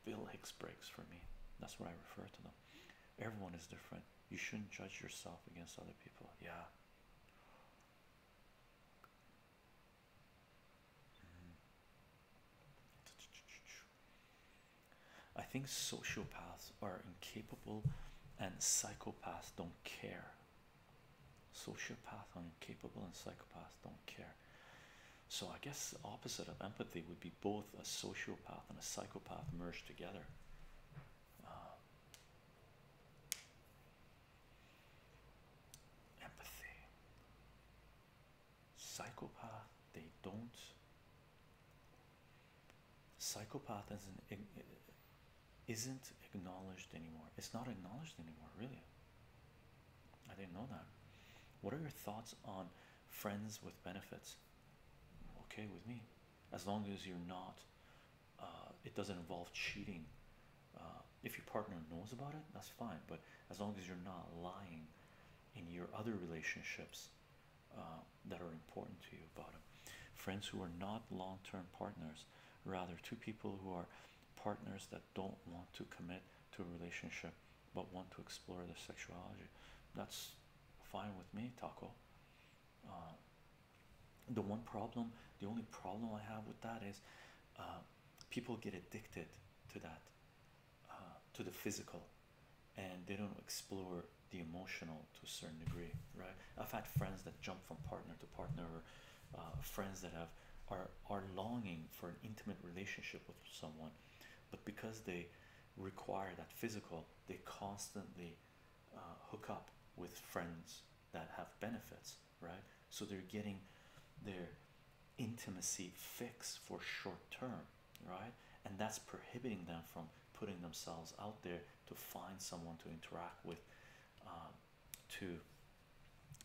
Bill Hicks breaks for me. That's what I refer to them. Everyone is different. You shouldn't judge yourself against other people. Yeah. Mm-hmm. I think sociopaths are incapable and psychopaths don't care. Sociopath incapable and psychopaths don't care. So I guess opposite of empathy would be both a sociopath and a psychopath merged together. Uh, empathy psychopath they don't psychopath isn't isn't acknowledged anymore it's not acknowledged anymore really i didn't know that what are your thoughts on friends with benefits okay with me as long as you're not uh, it doesn't involve cheating uh, if your partner knows about it, that's fine. But as long as you're not lying in your other relationships uh, that are important to you about it, friends who are not long term partners, rather, two people who are partners that don't want to commit to a relationship but want to explore their sexuality. That's fine with me, Taco. Uh, the one problem, the only problem I have with that is people get addicted to that uh, to the physical and they don't explore the emotional to a certain degree right i've had friends that jump from partner to partner uh, friends that have are are longing for an intimate relationship with someone but because they require that physical they constantly uh, hook up with friends that have benefits right? So they're getting their intimacy fixed for short term, right? And that's prohibiting them from putting themselves out there to find someone to interact with, um, to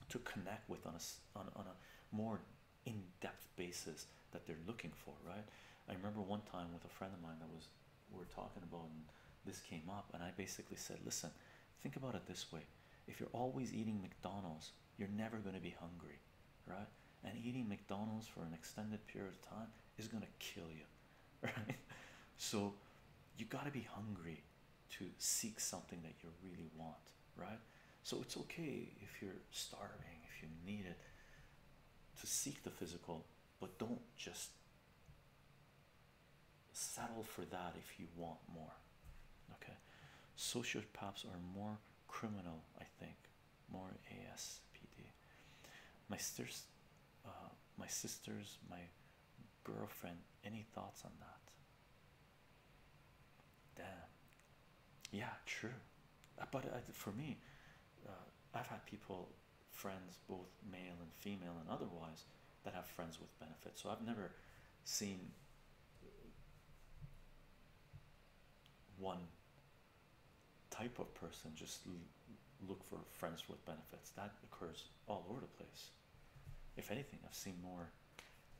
to connect with on a on, a more in-depth basis that they're looking for, right? I remember one time with a friend of mine that was we're talking about and this came up and I basically said, listen, think about it this way. If you're always eating McDonald's you're never going to be hungry, right? And eating McDonald's for an extended period of time is going to kill you, <laughs> right? So you got to be hungry to seek something that you really want, right? So it's okay if you're starving, if you need it, to seek the physical, but don't just settle for that if you want more Okay, sociopaths are more criminal, I think, more ASPD. My sister's, uh, my sister's, my girlfriend. Any thoughts on that? Damn. Yeah, true. Uh, but uh, for me, I've had people, friends, both male and female, and otherwise, that have friends with benefits. So I've never seen one type of person just look for friends with benefits that occurs all over the place if anything i've seen more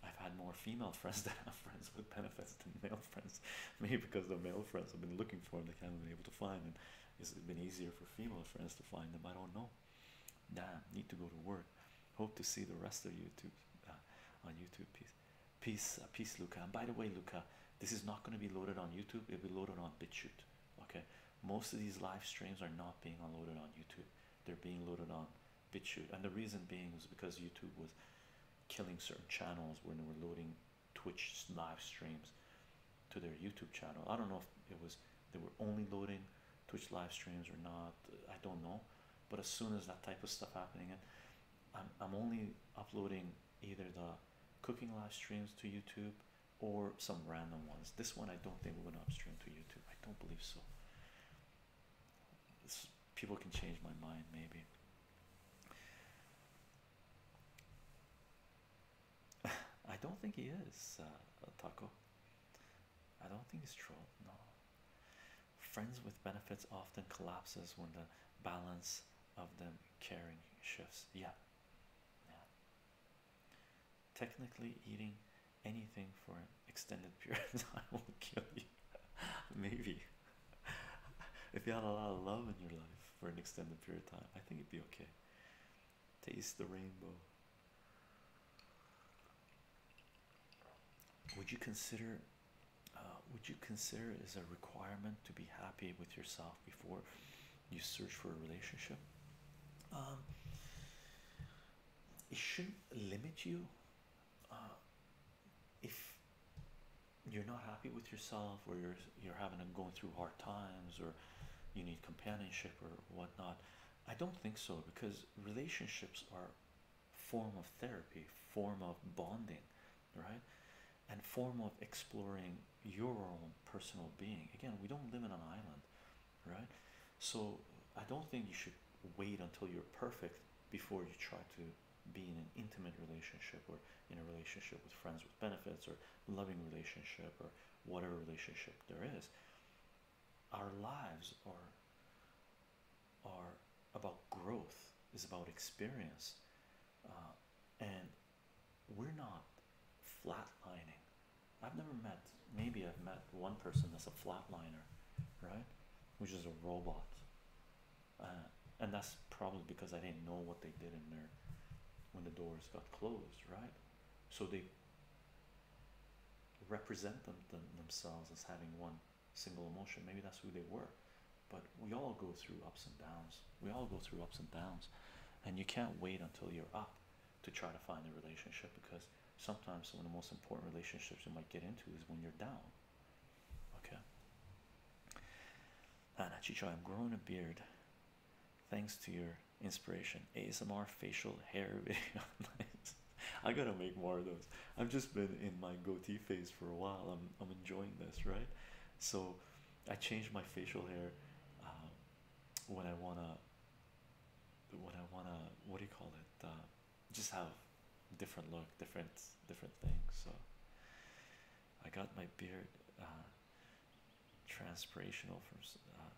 i've had more female <laughs> friends that have friends with benefits than male friends <laughs> maybe because the male friends have been looking for them they haven't been able to find them. it's been easier for female friends to find them i don't know nah need to go to work Hope to see the rest of YouTube uh, on YouTube. Peace, peace, uh, peace, Luca. And by the way, Luca, this is not going to be loaded on YouTube. It'll be loaded on BitChute. Okay, most of these live streams are not being unloaded on YouTube. They're being loaded on BitChute, and the reason being was because YouTube was killing certain channels when they were loading Twitch live streams to their YouTube channel. I don't know if it was they were only loading Twitch live streams or not, I don't know. But as soon as that type of stuff happening, and I'm I'm only uploading either the cooking live streams to YouTube or some random ones. This one I don't think we're gonna upstream to YouTube. I don't believe so. people can change my mind maybe. <laughs> I don't think he is a uh, taco. I don't think he's true. No, Friends with benefits often collapses when the balance of them caring shifts. Yeah. Technically, eating anything for an extended <laughs> period of time will kill you. <laughs> Maybe. <laughs> if you had a lot of love in your life for an extended period of time, I think it'd be okay. Taste the rainbow would you consider uh, would you consider it as a requirement to be happy with yourself before you search for a relationship um, it shouldn't limit you uh, if you're not happy with yourself or you're you're having to going through hard times or you need companionship or whatnot I don't think so because relationships are form of therapy, form of bonding, right? And form of exploring your own personal being. Again, we don't live in an island, right? So I don't think you should wait until you're perfect before you try to be in an intimate relationship or in a relationship with friends with benefits or loving relationship or whatever relationship there is our lives are are about growth is about experience uh, and we're not flatlining i've never met maybe i've met one person that's a flatliner right which is a robot uh, and that's probably because i didn't know what they did in there when the doors got closed right so they represent them themselves as having one single emotion. Maybe that's who they were. But we all go through ups and downs. We all go through ups and downs. And you can't wait until you're up to try to find the relationship because sometimes one of the most important relationships you might get into is when you're down. Okay. Anna Chicho, I'm growing a beard thanks to your inspiration. ASMR facial hair video. <laughs> <laughs> I gotta make more of those. I've just been in my goatee phase for a while. I'm I'm enjoying this, right? So I change my facial hair um, when I wanna when I wanna what do you call it? Uh, just have different look, different different things. So I got my beard uh, transpirational from uh,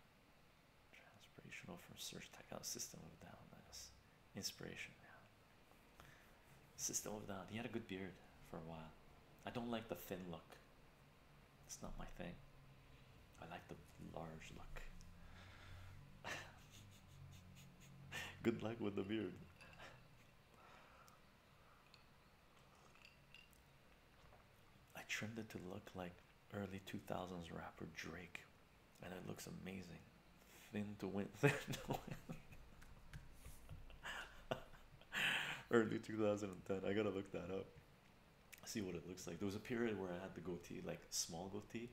transpirational from search tech out system of down this inspiration. Yeah. System of that. He had a good beard for a while. I don't like the thin look. It's not my thing. I like the large look. <laughs> good luck with the beard. I trimmed it to look like early 2000s rapper Drake and it looks amazing. Thin to win, <laughs> thin to win. <laughs> Early 2010. I gotta look that up. See what it looks like. There was a period where I had the goatee, like small goatee.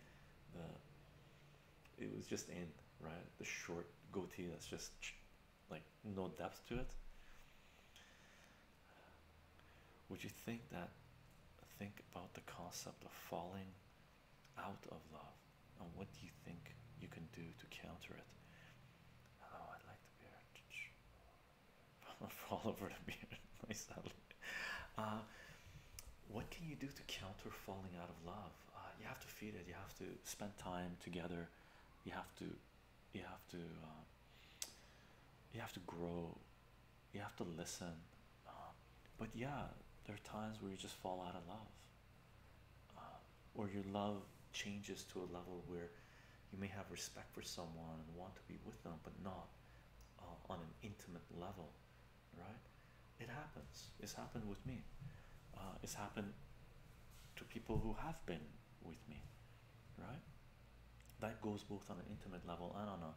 it was just in right the short goatee that's just like no depth to it. Would you think that? Think about the concept of falling out of love and what do you think you can do to counter it hello oh, i'd like the beard <laughs> fall over the beard <laughs> myself uh, what can you do to counter falling out of love uh, you have to feed it you have to spend time together you have to you have to uh, you have to grow you have to listen um, but yeah, there are times where you just fall out of love, um, or your love changes to a level where you may have respect for someone and want to be with them, but not uh, on an intimate level, right? It happens. It's happened with me. Uh, it's happened to people who have been with me, right? That goes both on an intimate level and on a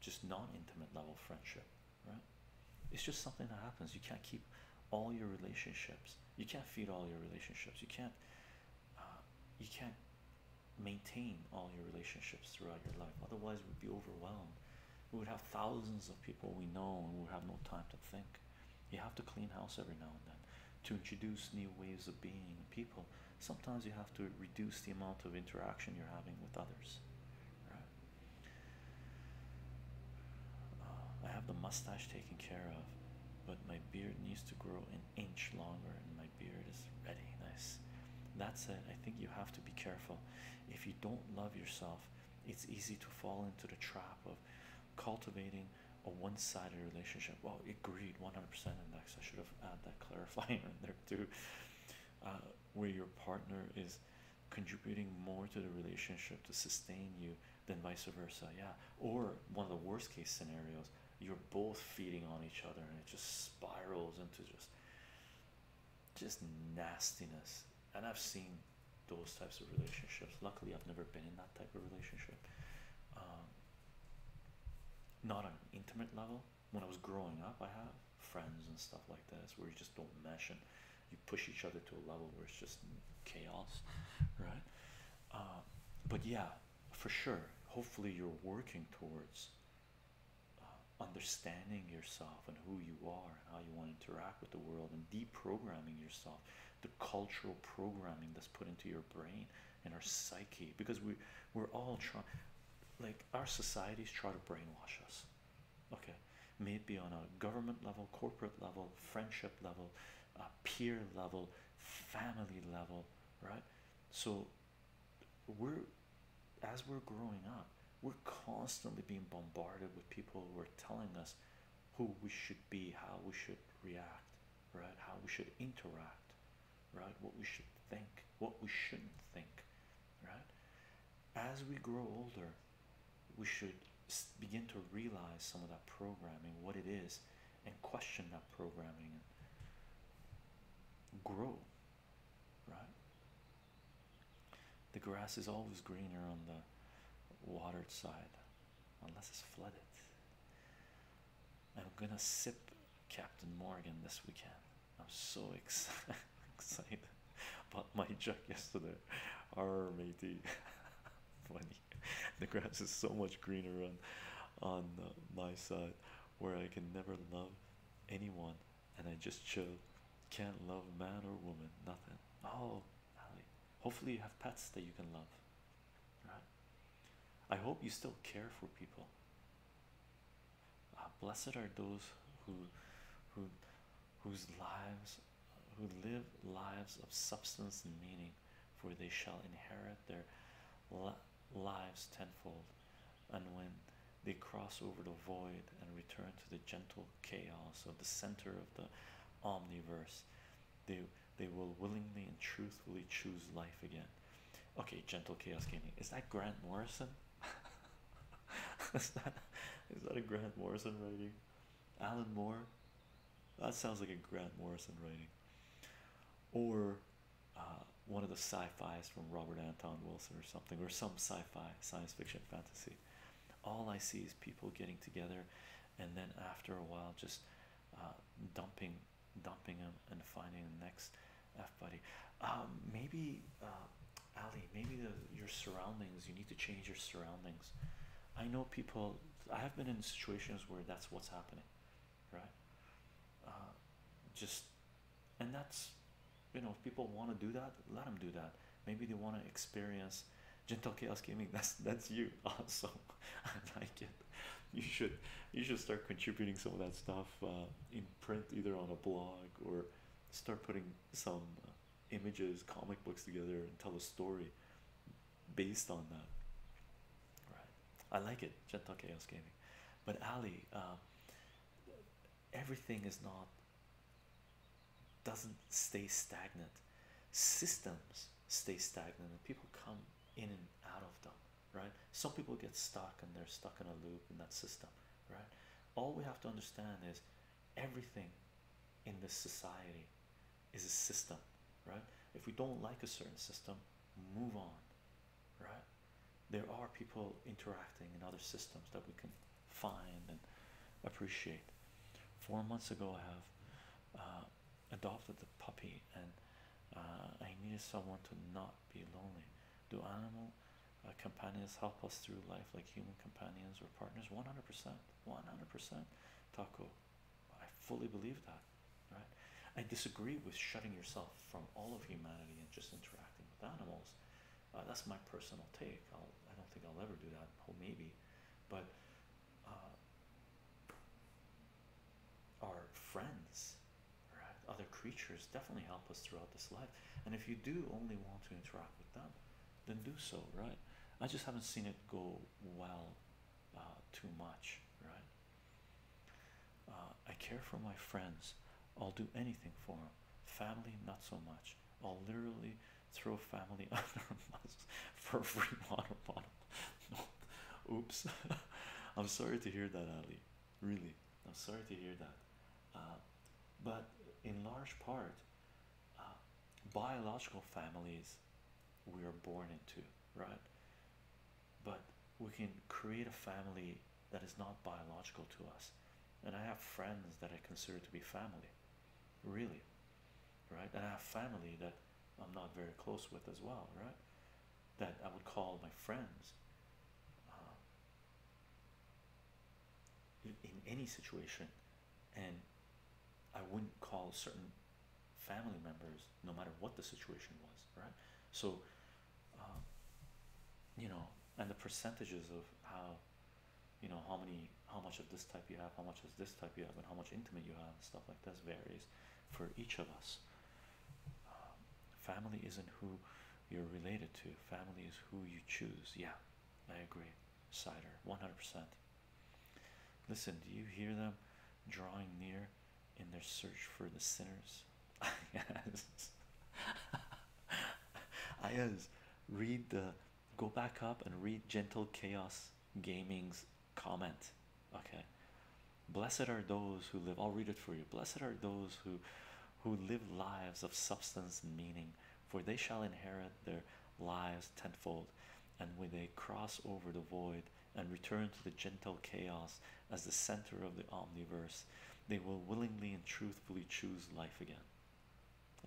just non intimate level friendship right it's just something that happens you can't keep all your relationships you can't feed all your relationships you can't uh, you can't maintain all your relationships throughout your life otherwise we'd be overwhelmed we would have thousands of people we know and we would have no time to think you have to clean house every now and then to introduce new ways of being people sometimes you have to reduce the amount of interaction you're having with others right I have the mustache taken care of, but my beard needs to grow an inch longer, and my beard is ready. Nice. That said, I think you have to be careful. If you don't love yourself, it's easy to fall into the trap of cultivating a one-sided relationship. Well, agreed, 100% index. I should have added that <laughs> clarifier in there too, uh, where your partner is contributing more to the relationship to sustain you than vice versa. Yeah. Or one of the worst case scenarios, you're both feeding on each other and it just spirals into just just nastiness. And I've seen those types of relationships. Luckily, I've never been in that type of relationship. Um, not on an intimate level. When I was growing up, I have friends and stuff like that, where you just don't mesh and you push each other to a level where it's just chaos, right? Uh, but yeah, for sure. Hopefully, you're working towards uh, understanding yourself and who you are and how you want to interact with the world and deprogramming yourself, the cultural programming that's put into your brain and our psyche because we we're all trying like our societies try to brainwash us okay may it be on a government level corporate level friendship level a peer level family level right so we're as we're growing up we're constantly being bombarded with people who are telling us who we should be how we should react right how we should interact right what we should think what we shouldn't think right as we grow older we should begin to realize some of that programming, what it is, and question that programming and grow. Right? The grass is always greener on the watered side, unless it's flooded. I'm gonna sip Captain Morgan this weekend. I'm so <laughs> excited bought <laughs> my jug yesterday. Our matey, <laughs> funny. The grass is so much greener on on uh, my side, where I can never love anyone, and I just chill. Can't love man or woman, nothing. Oh, Ali. Hopefully you have pets that you can love. Right. I hope you still care for people. Uh, blessed are those who, who whose lives who live lives of substance and meaning, for they shall inherit their lives tenfold. And when they cross over the void and return to the gentle chaos of the center of the omniverse, they they will willingly and truthfully choose life again. Okay, gentle chaos gaming. Is that Grant Morrison? <laughs> is that is that a Grant Morrison writing? Alan Moore? That sounds like a Grant Morrison writing. Or uh, one of the sci-fi's from Robert Anton Wilson or something, or some sci-fi science fiction fantasy. All I see is people getting together and then after a while just uh, dumping dumping them and finding the next F buddy. Um, maybe uh, Ali, maybe the, your surroundings, you need to change your surroundings. I know people, I have been in situations where that's what's happening, right? Uh, just, and that's, you know, if people want to do that, let them do that. Maybe they want to experience gentle chaos gaming. <laughs> That's that's you <laughs> also. I like it. You should you should start contributing some of that stuff uh, in print, either on a blog or start putting some uh, images, comic books together, and tell a story based on that. Right? I like it, Gentle Chaos Gaming. But Ali, um, everything is not doesn't stay stagnant. Systems stay stagnant, and people come in and out of them. Right? Some people get stuck, and they're stuck in a loop in that system. Right? All we have to understand is everything in this society is a system, right? If we don't like a certain system, move on, right? There are people interacting in other systems that we can find and appreciate. Four months ago, I have uh, adopted the puppy, and uh, I needed someone to not be lonely. Do animal uh, companions help us through life like human companions or partners 100% 100% taco i fully believe that right i disagree with shutting yourself from all of humanity and just interacting with animals uh, that's my personal take I'll, i do not think i'll ever do that oh maybe but uh, our friends other creatures definitely help us throughout this life and if you do only want to interact with them then do so, right? I just haven't seen it go well uh, too much, right? Uh, I care for my friends. I'll do anything for them. Family, not so much. I'll literally throw family <laughs> under a bus for free <laughs> water bottle. <laughs> Oops. I'm sorry to hear that, Ali. Really, I'm sorry to hear that. Uh, but in large part, uh, biological families we are born into, right? But we can create a family that is not biological to us. And I have friends that I consider to be family, really, right? And I have family that I'm not very close with as well, right? That I would call my friends. Uh, in any situation and I wouldn't call certain family members no matter what the situation was, right? So, um, you know, and the percentages of how you know how many how much of this type you have, how much of this type you have, and how much intimate you have, and stuff like this varies for each of us. Um, family isn't who you're related to, family is who you choose. Yeah, I agree cider 100% listen do you hear them drawing near in their search for the sinners <laughs> yes <laughs> i is read the go back up and read gentle chaos gaming's comment okay blessed are those who live i'll read it for you blessed are those who who live lives of substance and meaning for they shall inherit their lives tenfold, and when they cross over the void and return to the gentle chaos as the center of the omniverse, they will willingly and truthfully choose life again.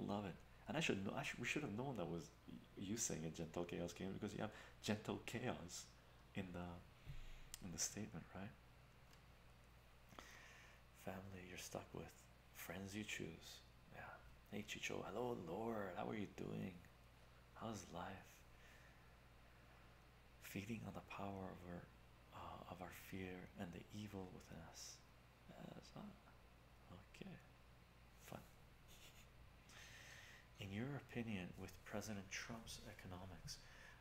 Love it, and I should know. I should, we should have known that was you saying a gentle chaos came because you have gentle chaos in the in the statement, right? Family you're stuck with friends you choose. Yeah. Hey Chicho, hello Lord, how are you doing? How's life? Feeding on the power of our uh, of our fear and the evil within us. okay. Fun. In your opinion, with President Trump's economics,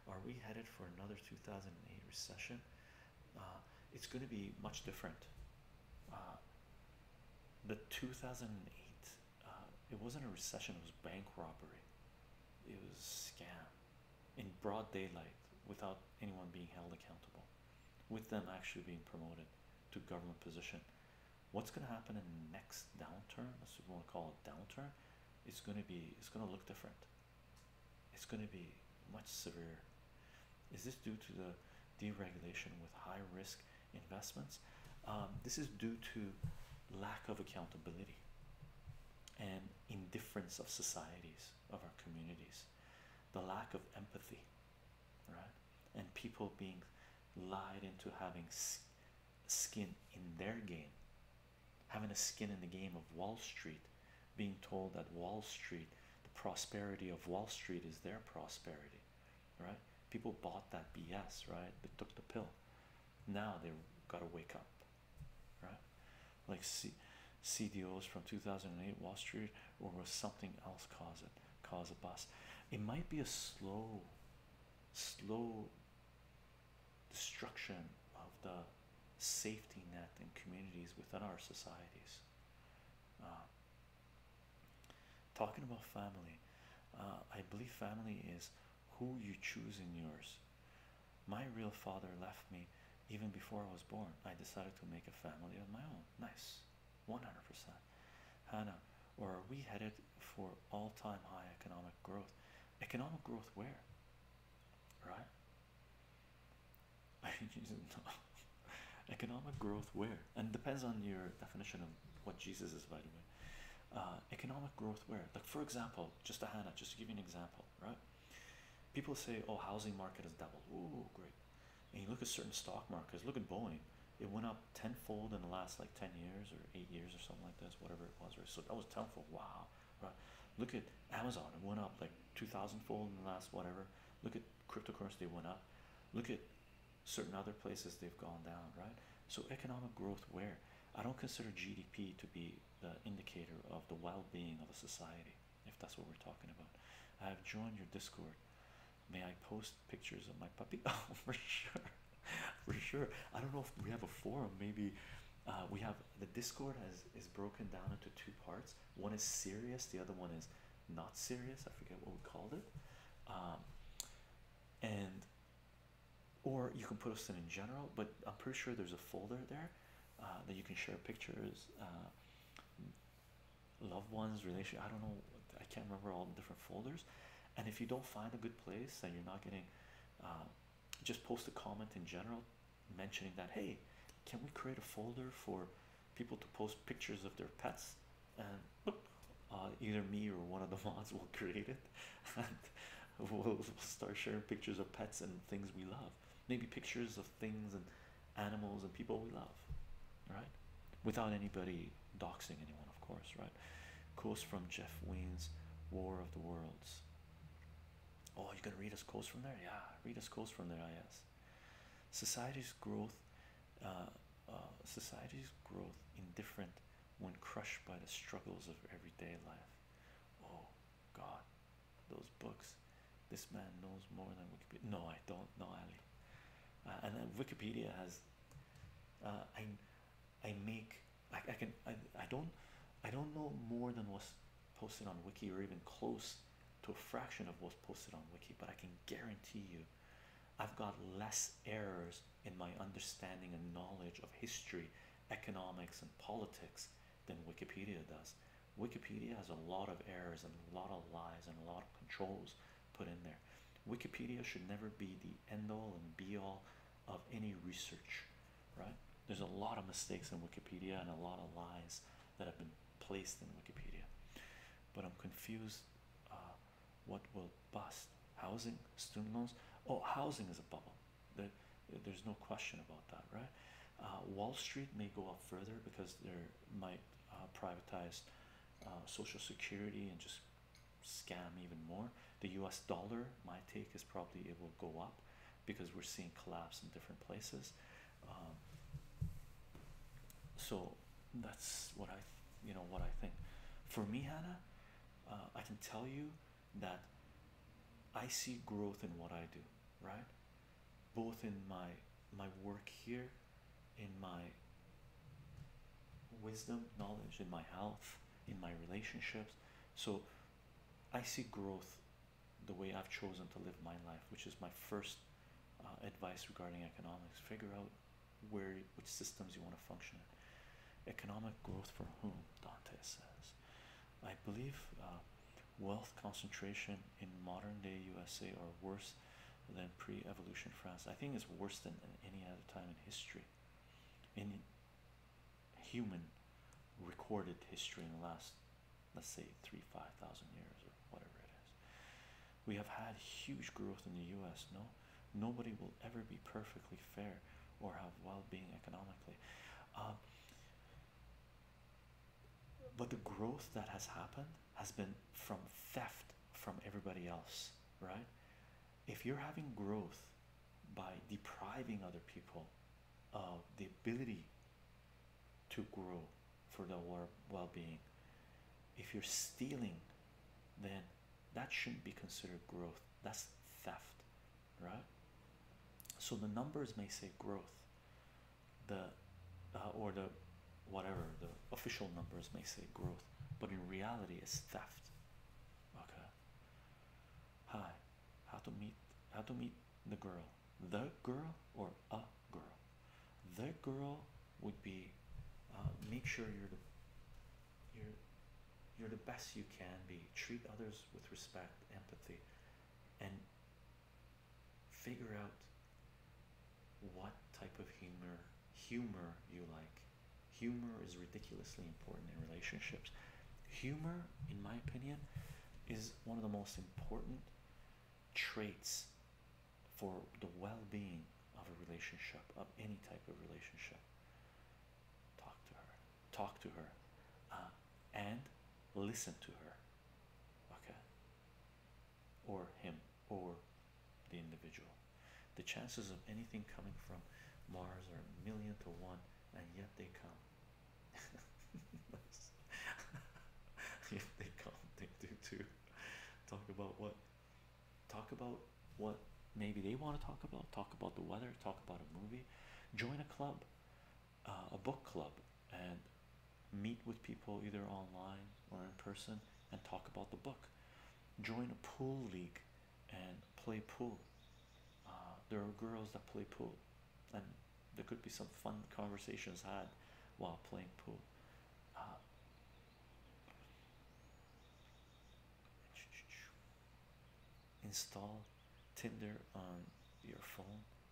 are we headed for another 2008 recession? uh, it's going to be much different. Uh, the 2008, uh, it wasn't a recession, it was bank robbery, it was a scam in broad daylight without anyone being held accountable, with them actually being promoted to government position. What's going to happen in the next downturn? That's what we want to call a downturn. It's going to be, it's going to look different it's going to be much severe. Is this due to the deregulation with high risk investments? Um, this is due to lack of accountability and indifference of societies, of our communities, the lack of empathy, right? And people being lied into having skin in their game, having a skin in the game of Wall Street being told that Wall Street, the prosperity of Wall Street is their prosperity, right? People bought that BS, right? They took the pill. Now they have gotta wake up, right? Like C CDOs from 2008 Wall Street, or was something else cause it? Cause a bust. It might be a slow, slow destruction of the safety net in communities within our societies uh, talking about family, uh, I believe family is who you choose in yours. My real father left me even before I was born. I decided to make a family of my own. Nice, 100%. Hannah, or are we headed for all time high economic growth? Economic growth where? Right? <laughs> Economic growth where? And depends on your definition of what Jesus is, by the way. Uh, economic growth where? Like for example, just a Hannah, just to give you an example, right? People say, oh, housing market has doubled. Oh, great. And you look at certain stock markets, look at Boeing. It went up tenfold in the last like 10 years or eight years or something like this, whatever it was. Right? So that was tenfold. Wow. Right. Look at Amazon. It went up like 2,000 fold in the last whatever. Look at cryptocurrency went up look at certain other places they've gone down right so economic growth where i don't consider gdp to be the indicator of the well-being of a society if that's what we're talking about i have joined your discord may i post pictures of my puppy <laughs> oh for sure for sure i don't know if we have a forum maybe uh, we have the discord has is broken down into two parts one is serious the other one is not serious. I forget what we called it. Um, and or you can put us in in general, but I'm pretty sure there's a folder there uh, that you can share pictures, uh, loved ones, relation. I don't know. I can't remember all the different folders. And if you don't find a good place and you're not getting, um, just post a comment in general, mentioning that hey, can we create a folder for people to post pictures of their pets and uh, either me or one of the <laughs> mods will create it and we'll, start sharing pictures of pets and things we love maybe pictures of things and animals and people we love right without anybody doxing anyone of course right quotes from jeff wayne's war of the worlds oh you're gonna read us quotes from there yeah read us quotes from there i guess Society's growth, uh, uh, society's growth, indifferent when crushed by the struggles of everyday life. Oh God, those books. This man knows more than Wikipedia. No, I don't know, Ali. Uh, and then Wikipedia has. I, I make. I, I can. I, I don't. I don't know more than what's posted on Wiki or even close to a fraction of what's posted on Wiki, but I can guarantee you I've got less errors in my understanding and knowledge of history, economics, and politics than Wikipedia does. Wikipedia has a lot of errors and a lot of lies and a lot of controls put in there. Wikipedia should never be the end all and be all of any research, right? There's a lot of mistakes in Wikipedia and a lot of lies that have been placed in Wikipedia, but I'm confused. Uh, what will bust? Housing, student loans. Oh, housing is a bubble. There, there's no question about that, right? Uh, Wall Street may go up further because they might uh, privatize Social Security and just scam even more. The U.S. dollar, my take is probably it will go up because we're seeing collapse in different places. Um, so that's what I, you know, what I think. For me, Hannah, uh, I can tell you that I see growth in what I do, right? Both in my my work here, in my wisdom, knowledge, in my health, in my relationships. So I see growth the way I've chosen to live my life, which is my first uh, advice regarding economics. Figure out where which systems you want to function in. Economic growth for whom? Dante says. I believe uh, wealth concentration in modern day USA are worse than pre-evolution France. I think it's worse than any other time in history, in human recorded history in the last let's say three, five thousand years or whatever it is. We have had huge growth in the US. No, nobody will ever be perfectly fair or have well being economically. Um, but the growth that has happened has been from theft from everybody else, right? If you're having growth by depriving other people of the ability to grow for their well-being if you're stealing then that shouldn't be considered growth that's theft right so the numbers may say growth the uh, or the whatever the official numbers may say growth but in reality it's theft okay hi how to meet how to meet the girl the girl or a girl. The girl would be uh, make sure you're the you're you're the best you can be. Treat others with respect, empathy, and figure out what type of humor humor you like. Humor is ridiculously important in relationships. Humor, in my opinion, is one of the most important traits for the well-being of a relationship of any type of relationship talk to her talk to her uh, and listen to her okay or him or the individual the chances of anything coming from mars are a million to one and yet they come <laughs> <laughs> they come they do too <laughs> talk about what talk about what maybe they want to talk about talk about the weather talk about a movie join a club uh, a book club and meet with people either online or in person and talk about the book join a pool league and play pool uh, there are girls that play pool and there could be some fun conversations had while playing pool uh, install Tinder on your phone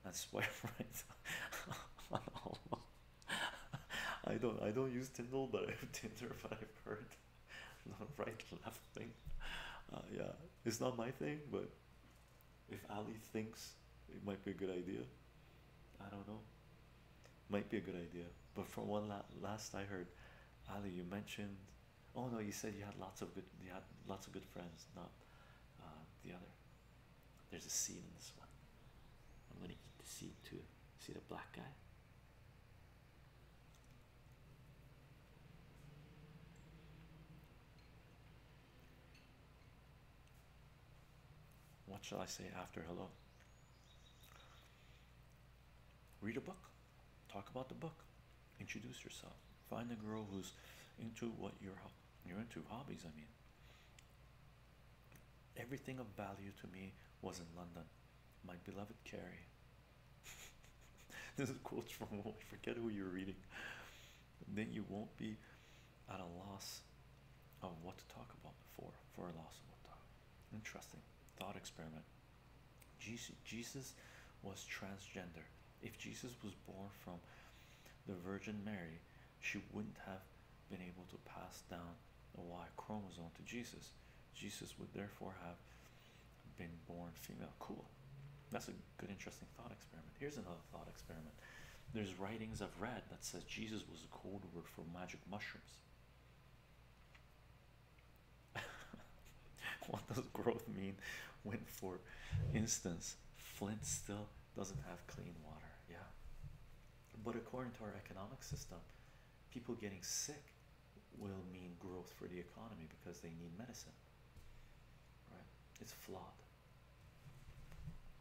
That's <laughs> why, right I don't I don't use Tinder but I have Tinder <laughs> but I've heard not right left thing uh, yeah it's not my thing but if Ali thinks it might be a good idea. I don't know. Might be a good idea. But from one la last I heard, Ali, you mentioned. Oh no, you said you had lots of good. You had lots of good friends. Not uh, the other. There's a seed in this one. I'm gonna eat to seed too. See the black guy. What shall I say after hello? Read a book, talk about the book, introduce yourself, find a girl who's into what you're you're into hobbies. I mean, everything of value to me was in London. My beloved Carrie. <laughs> this is quotes from I forget who you're reading. Then you won't be at a loss of what to talk about before, for a loss of what to talk. Interesting thought experiment. Jesus Jesus was transgender. If Jesus was born from the Virgin Mary, she wouldn't have been able to pass down the Y chromosome to Jesus. Jesus would therefore have been born female. Cool. That's a good, interesting thought experiment. Here's another thought experiment. There's writings I've read that says Jesus was a code word for magic mushrooms. <laughs> what does growth mean when, for instance, Flint still doesn't have clean water? Yeah. But according to our economic system, people getting sick will mean growth for the economy because they need medicine. Right? It's flawed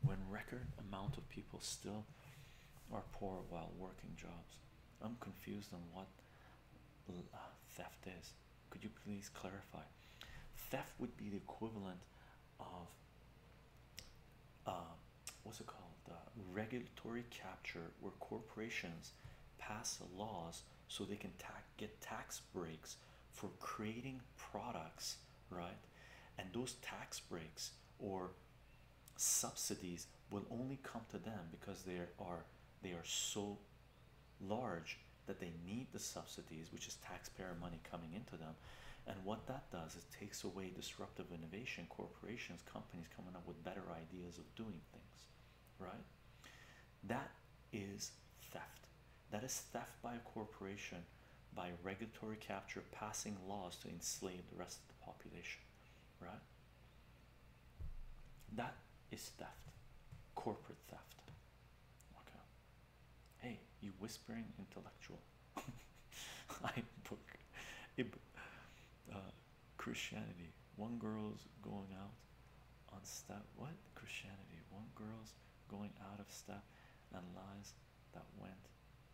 when record amount of people still are poor while working jobs. I'm confused on what uh, theft is. Could you please clarify? Theft would be the equivalent of um, what's it called? The regulatory capture, where corporations pass laws so they can get tax breaks for creating products, right? And those tax breaks or subsidies will only come to them because they are they are so large that they need the subsidies which is taxpayer money coming into them and what that does is takes away disruptive innovation corporations companies coming up with better ideas of doing things right that is theft that is theft by a corporation by regulatory capture passing laws to enslave the rest of the population right that is theft corporate theft okay hey you whispering intellectual <laughs> i book it, uh, christianity one girl's going out on step what christianity one girl's going out of step and lies that went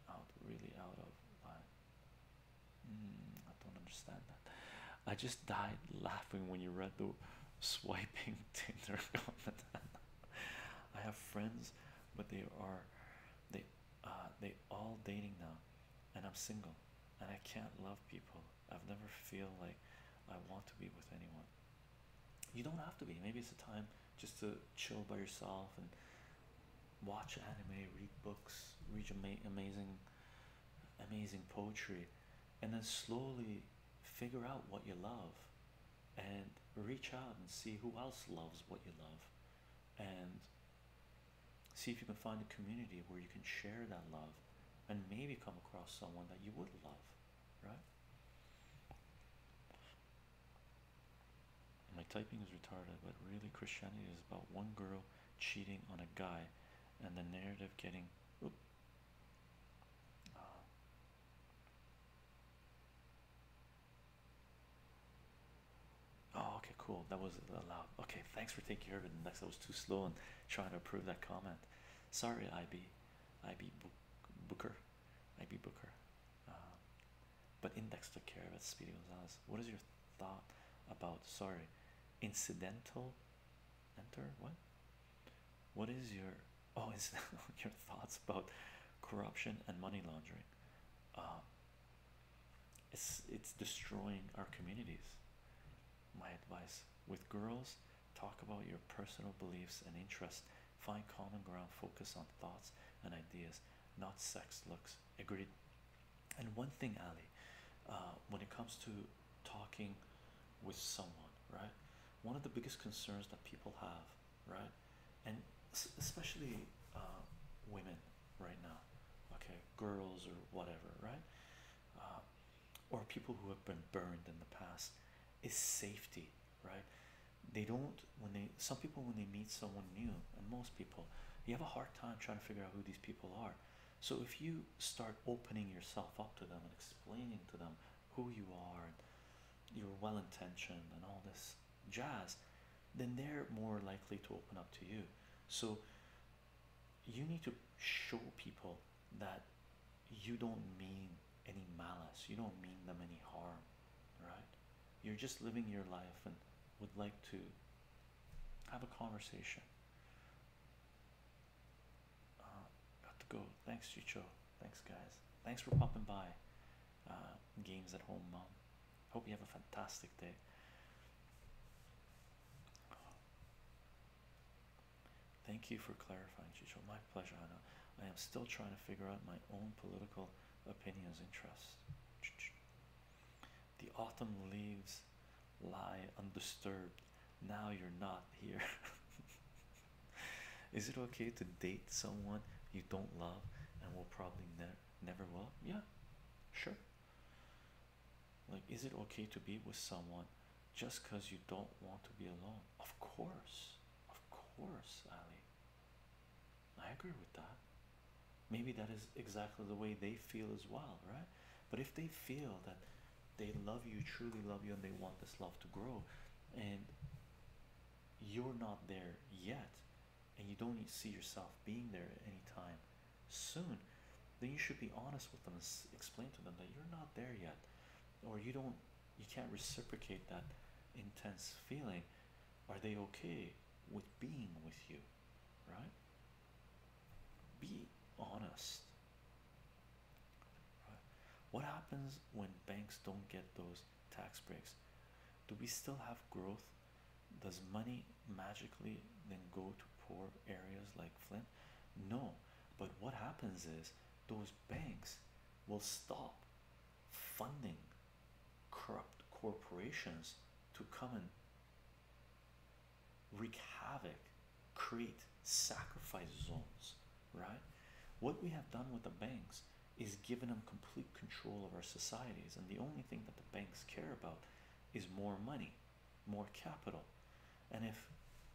out really out of my mm, I don't understand that. I just died laughing when you read the swiping <laughs> Tinder I have friends, but they are they uh they all dating now and I'm single and I can't love people. I've never feel like I want to be with anyone. You don't have to be. Maybe it's a time just to chill by yourself and watch anime, read books, read ama amazing, amazing poetry, and then slowly figure out what you love and reach out and see who else loves what you love and see if you can find a community where you can share that love and maybe come across someone that you would love right my typing is retarded, but really, Christianity is about one girl cheating on a guy and the narrative getting. Ah. Oh, okay, cool. That was a allowed. Okay, thanks for taking care of it. Next, I was too slow and trying to approve that comment. Sorry, I be Booker, I be Booker. Um, but index took care of it. what is your thought about? Sorry, incidental. Enter what? What is your oh is <laughs> your thoughts about corruption and money laundering? Um, it's it's destroying our communities. My advice with girls, talk about your personal beliefs and interests. Find common ground. Focus on thoughts and ideas, not sex, looks, Agreed. And one thing, Ali, uh, when it comes to talking with someone, right? One of the biggest concerns that people have, right? And especially uh, women right now, okay, girls or whatever, right? Uh, or people who have been burned in the past is safety, right? they don't when they some people when they meet someone new and most people you have a hard time trying to figure out who these people are so if you start opening yourself up to them and explaining to them who you are and you're well-intentioned and all this jazz then they're more likely to open up to you so you need to show people that you don't mean any malice you don't mean them any harm right? You're just living your life and would like to have a conversation. Uh, got to go. Thanks, Chicho. Thanks, guys. Thanks for popping by. Uh, games at home, mom. Hope you have a fantastic day. Thank you for clarifying, Chicho. My pleasure, Hannah. I am still trying to figure out my own political opinions, and interests. The autumn leaves lie undisturbed. Now you're not here. <laughs> Is it okay to date someone you don't love and will probably never never will? Yeah, sure. Like, is it okay to be with someone just because you don't want to be alone? Of course, of course, Ali. I agree with that. Maybe that is exactly the way they feel as well, right? But if they feel that they love you, truly love you, and they want this love to grow, and you're not there yet, and you don't see yourself being there any time soon, then you should be honest with them and explain to them that you're not there yet, or you don't, you can't reciprocate that intense feeling. Are they okay with being with you, right? Be honest. What happens when banks don't get those tax breaks? Do we still have growth? Does money magically then go to poor areas like Flint? No, but what happens is those banks will stop funding corrupt corporations to come and wreak havoc, create sacrifice zones, right? What we have done with the banks is given them complete control of our societies, and the only thing that the banks care about is more money, more capital. And if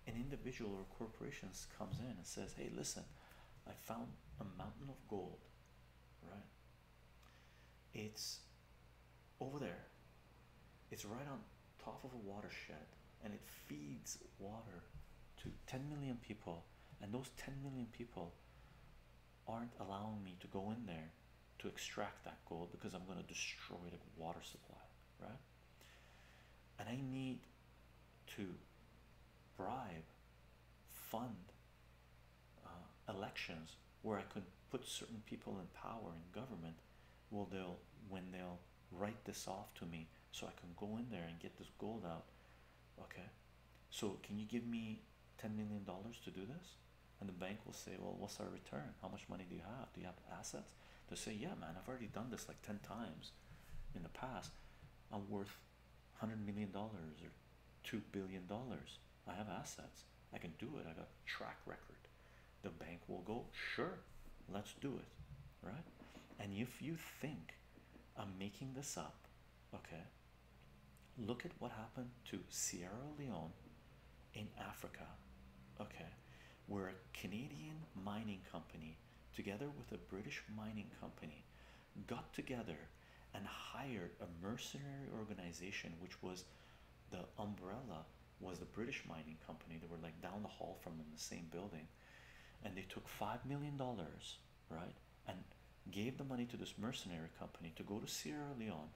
an individual or corporations comes in and says, Hey, listen, I found a mountain of gold, right? It's over there. It's right on top of a watershed and it feeds water to 10 million people. And those 10 million people aren't allowing me to go in there to extract that gold because I'm going to destroy the water supply, right? And I need to bribe, fund, uh, elections where I could put certain people in power in government. Well, they'll when they'll write this off to me, so I can go in there and get this gold out. Okay, so can you give me ten million dollars to do this? And the bank will say, Well, what's our return? How much money do you have? Do you have assets? they say, Yeah, man, I've already done this like 10 times in the past. I'm worth $100 million or $2 billion. I have assets. I can do it. I got track record. The bank will go, sure, let's do it, right? And if you think I'm making this up, okay, look at what happened to Sierra Leone in Africa, okay, where a Canadian mining company, together with a British mining company, got together and hired a mercenary organization, which was the umbrella was the British mining company. They were like down the hall from in the same building, and they took five million dollars, right, and gave the money to this mercenary company to go to Sierra Leone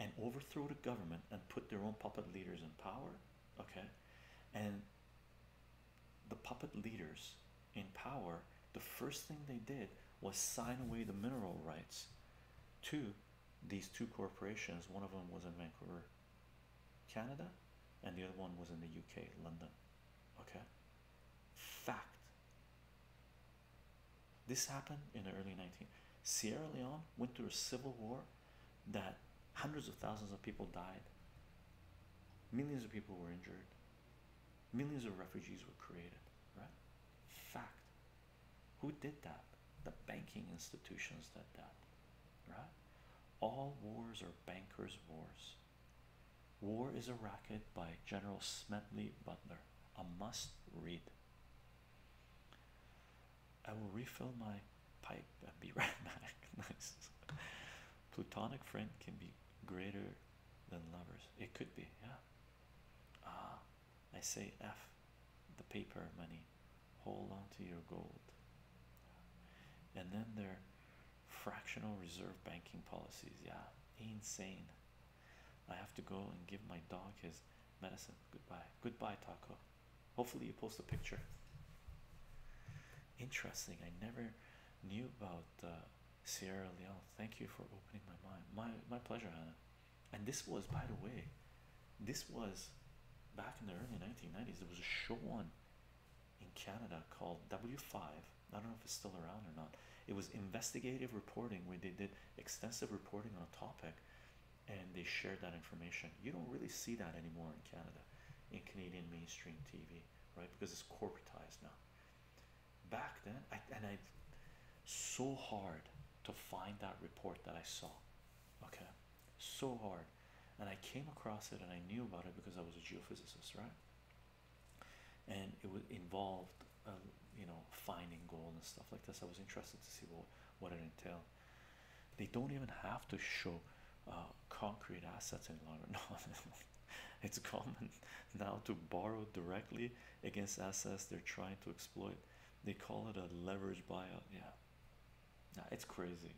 and overthrow the government and put their own puppet leaders in power. Okay, and the puppet leaders in power the first thing they did was sign away the mineral rights to these two corporations. One of them was in Vancouver, Canada, and the other one was in the UK, London. Okay? Fact. This happened in the early 19. Sierra Leone went through a civil war that hundreds of thousands of people died. Millions of people were injured. Millions of refugees were created, right? Fact. Who did that? The banking institutions did that, right? All wars are bankers' wars. War is a Racket by General Smedley Butler. A must read. I will refill my pipe and be right <laughs> back. nice. Plutonic friend can be greater than lovers. It could be, yeah. Ah, I say F the paper money, hold on to your gold. And then their fractional reserve banking policies, yeah, insane. I have to go and give my dog his medicine. Goodbye, goodbye, Taco. Hopefully, you post a picture. Interesting, I never knew about uh, Sierra Leone. Thank you for opening my mind. My my pleasure, Hannah. And this was, by the way, this was back in the early 1990s. There was a show on in Canada called W5. I don't know if it's still around or not. It was investigative reporting where they did extensive reporting on a topic and they shared that information. You don't really see that anymore in Canada, in Canadian mainstream TV, right? Because it's corporatized now back then I, and I so hard to find that report that I saw okay so hard and I came across it and I knew about it because I was a geophysicist right and it was involved uh, you know finding gold and stuff like this I was interested to see what what it entail. they don't even have to show uh, concrete assets any longer <laughs> no <laughs> it's common <laughs> now to borrow directly against assets they're trying to exploit. They call it a leverage buyout. Yeah, nah, it's crazy.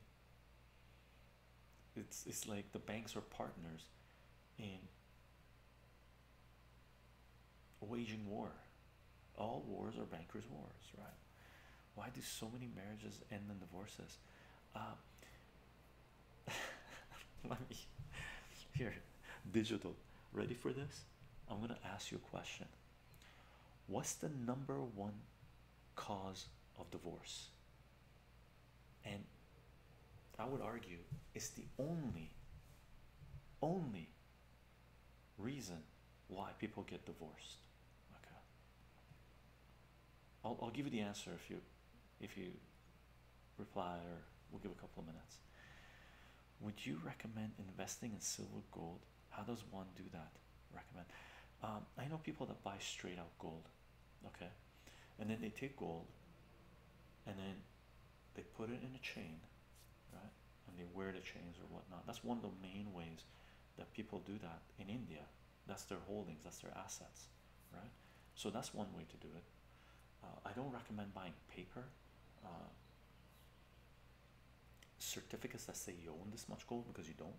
It's it's like the banks are partners in waging war. All wars are bankers' wars, right? Why do so many marriages end in divorces? Uh, <laughs> let me here digital ready for this I'm going to ask you a question. What's the number one cause of divorce? And I would argue it's the only, only reason why people get divorced. Okay. I'll, I'll give you the answer if you, if you reply or we'll give a couple of minutes. Would you recommend investing in silver gold? How does one do that? Recommend. Um, I know people that buy straight out gold, okay, and then they take gold and then they put it in a chain, right? And they wear the chains or whatnot. That's one of the main ways that people do that in India. That's their holdings, that's their assets, right? So that's one way to do it. Uh, I don't recommend buying paper. Uh, certificates that say you own this much gold because you don't,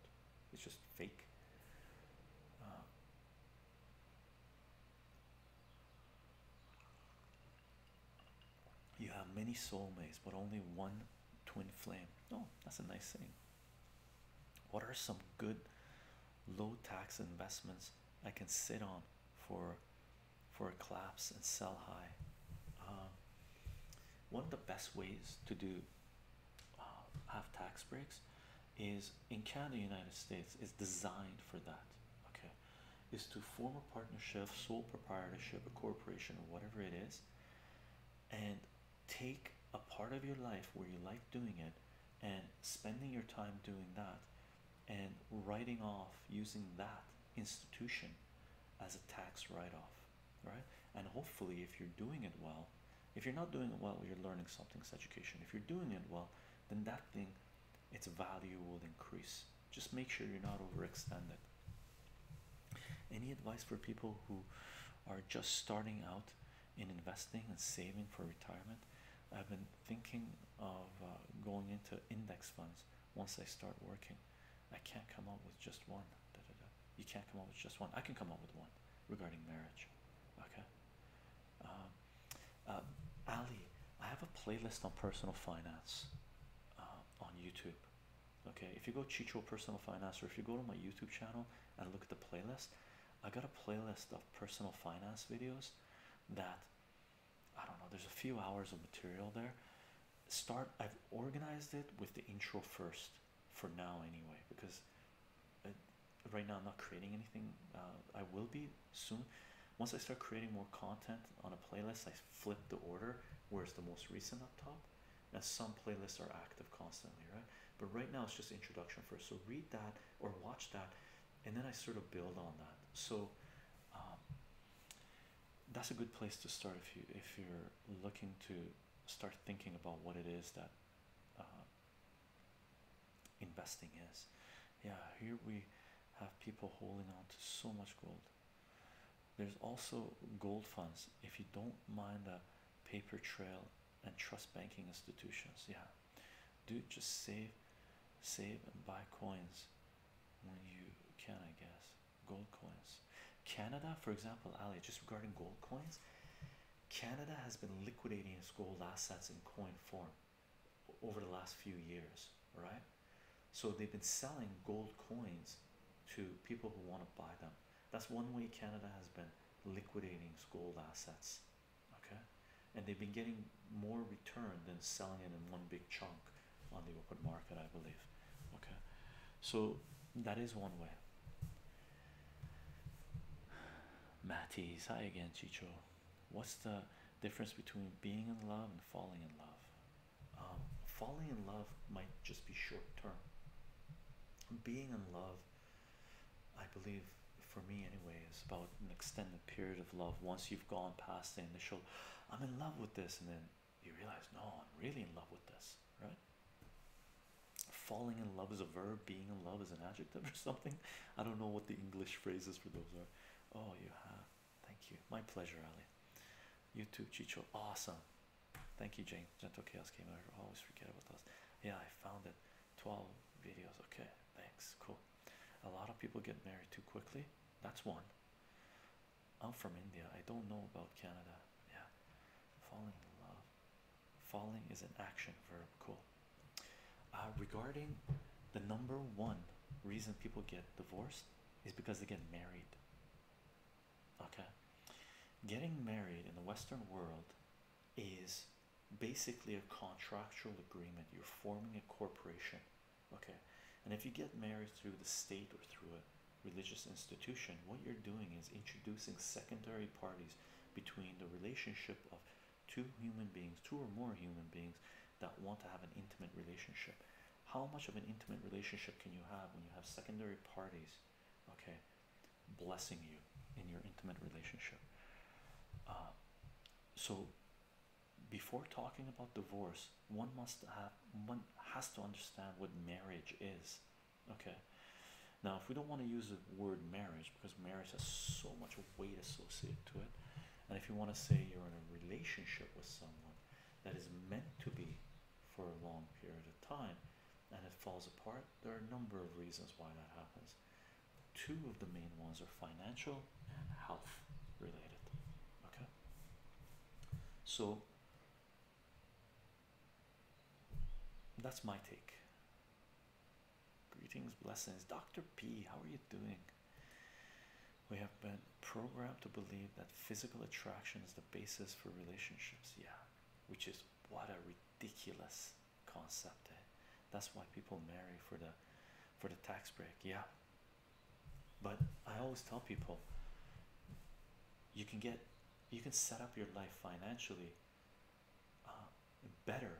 it's just fake. Uh, you have many soulmates, but only one twin flame. Oh, that's a nice thing. What are some good low tax investments I can sit on for for a collapse and sell high. Um, one of the best ways to do uh, have tax breaks is in Canada, United States is designed for that. Okay, is to form a partnership, sole proprietorship, a corporation, whatever it is, and take a part of your life where you like doing it and spending your time doing that and writing off using that institution as a tax write-off right and hopefully if you're doing it well if you're not doing it well you're learning something's education if you're doing it well then that thing its value will increase just make sure you're not overextended any advice for people who are just starting out in investing and saving for retirement i've been thinking of uh, going into index funds once I start working. I can't come up with just one. You can't come up with just one. I can come up with one regarding marriage. Okay. Um, um, Ali, I have a playlist on personal finance uh, on YouTube. Okay, if you go Chicho Personal Finance, or if you go to my YouTube channel and look at the playlist, I got a playlist of personal finance videos that I don't know, there's a few hours of material there. Start, I've organized it with the intro first for now, anyway, because uh, right now I'm not creating anything. Uh, I will be soon. Once I start creating more content on a playlist, I flip the order where's the most recent up top. And some playlists are active constantly, right? But right now it's just introduction first. So read that or watch that, and then I sort of build on that. So um, that's a good place to start if you if you're looking to start thinking about what it is that uh, investing is. Yeah, here we have people holding on to so much gold. There's also gold funds if you don't mind a paper trail and trust banking institutions. Yeah, do just save, save and buy coins when you can, I guess. Gold coins. Canada, for example, Ali, just regarding gold coins, Canada has been liquidating its gold assets in coin form over the last few years, right? So they've been selling gold coins to people who want to buy them. That's one way Canada has been liquidating its gold assets, okay? And they've been getting more return than selling it in one big chunk on the open market, I believe. Okay, so that is one way. Matties, hi again, Chicho. What's the difference between being in love and falling in love? Um, falling in love might just be short term. Being in love, I believe, for me anyway, is about an extended period of love. Once you've gone past the initial I'm in love with this, and then you realize, no, I'm really in love with this, right? Falling in love is a verb, being in love is an adjective or <laughs> something. I don't know what the English phrases for those are. Oh, you have. Thank you. My pleasure, Ali. You too, Chicho. Awesome. Thank you, Jane. Gentle Chaos came over. Always forget about those. Yeah, I found it. 12 videos. Okay, thanks. Cool. A lot of people get married too quickly. That's one. I'm from India. I don't know about Canada. Yeah. Falling in love. Falling is an action verb. Cool. Uh, regarding the number one reason people get divorced is because they get married. Okay. Getting married in the Western world is basically a contractual agreement. You're forming a corporation okay and if you get married through the state or through a religious institution what you're doing is introducing secondary parties between the relationship of two human beings two or more human beings that want to have an intimate relationship how much of an intimate relationship can you have when you have secondary parties okay blessing you in your intimate relationship uh, so before talking about divorce one must have one has to understand what marriage is okay now if we don't want to use the word marriage because marriage has so much weight associated to it and if you want to say you're in a relationship with someone that is meant to be for a long period of time and it falls apart there are a number of reasons why that happens two of the main ones are financial and health related okay so that's my take greetings blessings dr p how are you doing we have been programmed to believe that physical attraction is the basis for relationships yeah which is what a ridiculous concept eh? that's why people marry for the for the tax break yeah but I always tell people you can get you can set up your life financially uh, better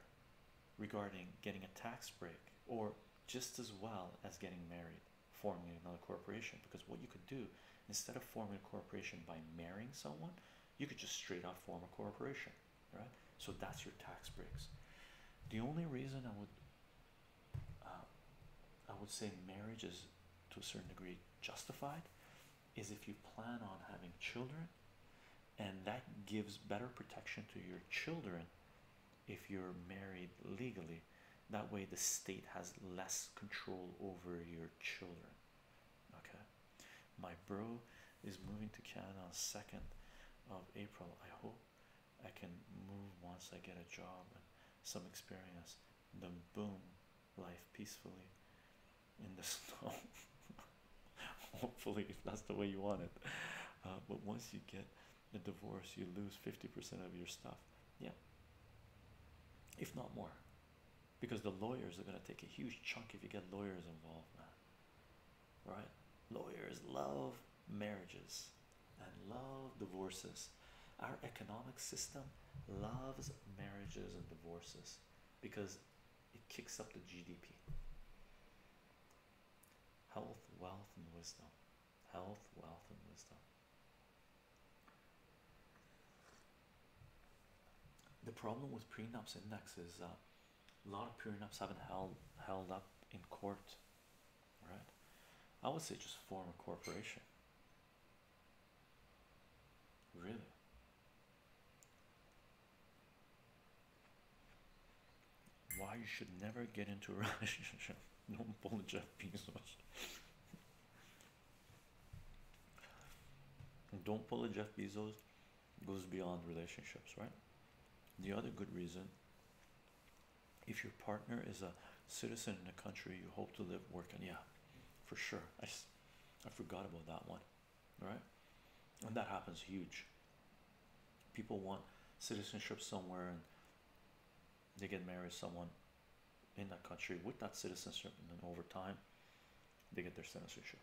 regarding getting a tax break or just as well as getting married forming another corporation because what you could do instead of forming a corporation by marrying someone you could just straight out form a corporation right so that's your tax breaks the only reason i would um, I would say marriage is to a certain degree justified is if you plan on having children and that gives better protection to your children if you're married legally that way the state has less control over your children okay my bro is moving to Canada 2nd of April I hope I can move once I get a job and some experience. Then boom, life peacefully in the <laughs> snow. Hopefully, if that's the way you want it. Uh, but once you get a divorce, you lose fifty percent of your stuff. Yeah, if not more, because the lawyers are gonna take a huge chunk if you get lawyers involved, man. Right? Lawyers love marriages and love divorces. Our economic system loves marriages and divorces because it kicks up the GDP. Health, wealth, and wisdom. Health, wealth, and wisdom. The problem with prenups index is that uh, a lot of prenups haven't held held up in court right? I would say just form a corporation. Really? Why you should never get into a <laughs> relationship. Don't pull Jeff Bezos. Don't pull a Jeff Bezos goes beyond relationships, right? The other good reason if your partner is a citizen in the country you hope to live, working, Yeah, for sure. I, I forgot about that one. All right? And that happens huge. People want citizenship somewhere and they get married someone in that country with that citizenship and then over time they get their citizenship.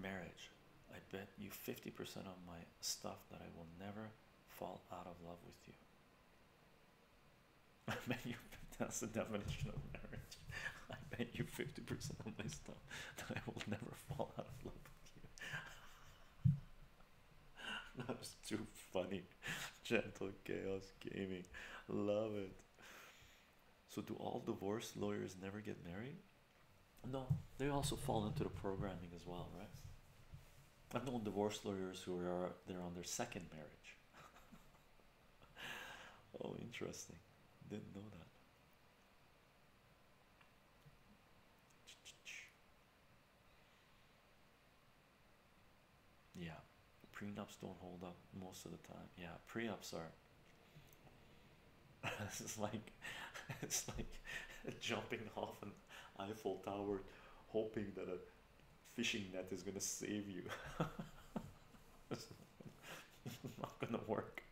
Marriage. I bet you 50% of my stuff that I will never fall out of love with you. I bet you that's the definition of marriage. I bet you 50% of my stuff that I will never fall out of love with you. <laughs> that was too funny. Gentle chaos gaming. Love it. So, do all divorce lawyers never get married? No, they also fall into the programming as well, right? I've known divorce lawyers who are they're on their second marriage. <laughs> oh, interesting. Didn't know that. Yeah, prenups don't hold up most of the time. Yeah, prenups are. this is like, it's like <laughs> <laughs> jumping off and. <laughs> Eiffel Tower, hoping that a fishing net is gonna save you. it's <laughs> not gonna work.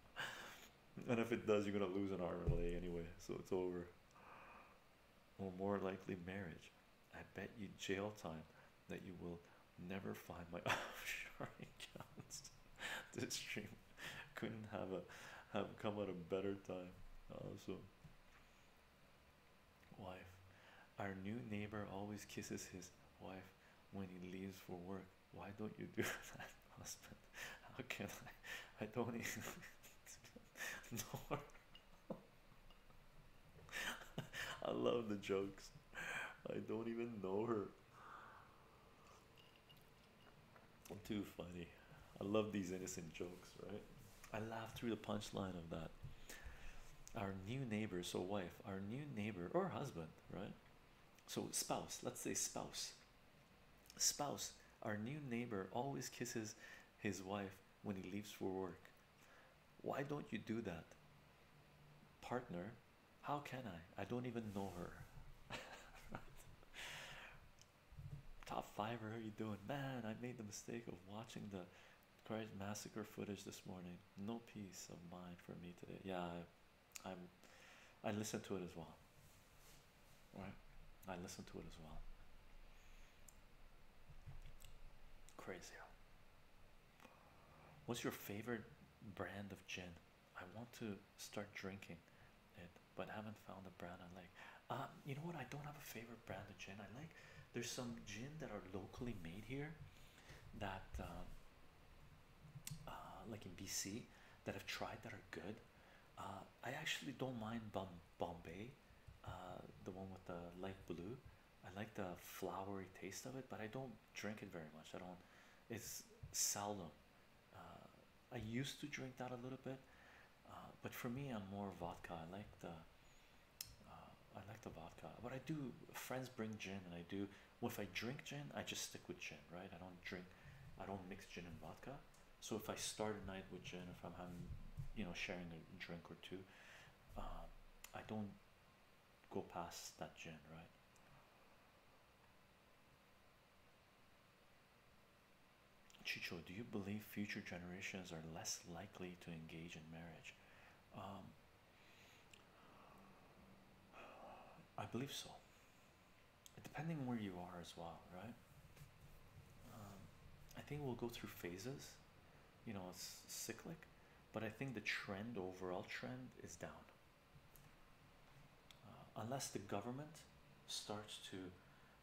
<laughs> and if it does, you're gonna lose an arm and leg anyway, so it's over. Or more likely, marriage. I bet you jail time that you will never find my offshoring accounts. This stream <laughs> couldn't have a have come at a better time. Also, wife, our new neighbor always kisses his wife when he leaves for work. Why don't you do <laughs> that, husband? How can I? I don't even <laughs> no. I love the jokes. I don't even know her. Too funny. I love these innocent jokes, right? I laughed through the punchline of that. Our new neighbor, so wife, our new neighbor or husband, right? So, spouse, let's say spouse. Spouse, our new neighbor always kisses his wife when he leaves for work. Why don't you do that? Partner, how can I? I don't even know her. <laughs> right? Top five, how are you doing, man? I made the mistake of watching the Christ massacre footage this morning. No peace of mind for me today. Yeah, I, I'm, I listened to it as well. Right, I listened to it as well. Crazy. What's your favorite brand of gin? I want to start drinking it but haven't found a brand I like. Uh, you know what? I don't have a favorite brand of gin. I like there's some gin that are locally made here that um, like in BC that I've tried that are good. Uh, I actually don't mind Bombay, uh, the one with the light blue. I like the flowery taste of it, but I don't drink it very much. I don't. It's seldom uh, I used to drink that a little bit, uh, but for me, I'm more vodka. I like the uh, I like the vodka, but I do. Friends bring gin, and I do. Well, if I drink gin, I just stick with gin, right? I don't drink, I don't mix gin and vodka. So if I start a night with gin, if I'm having, you know, sharing a drink or two, I don't go past that gin, right? Chicho, do you believe future generations are less likely to engage in marriage? Um, I believe so. Depending on where you are as well, right? Um, I think we'll go through phases. You know, it's cyclic, but I think the trend, overall trend, is down. Uh, unless the government starts to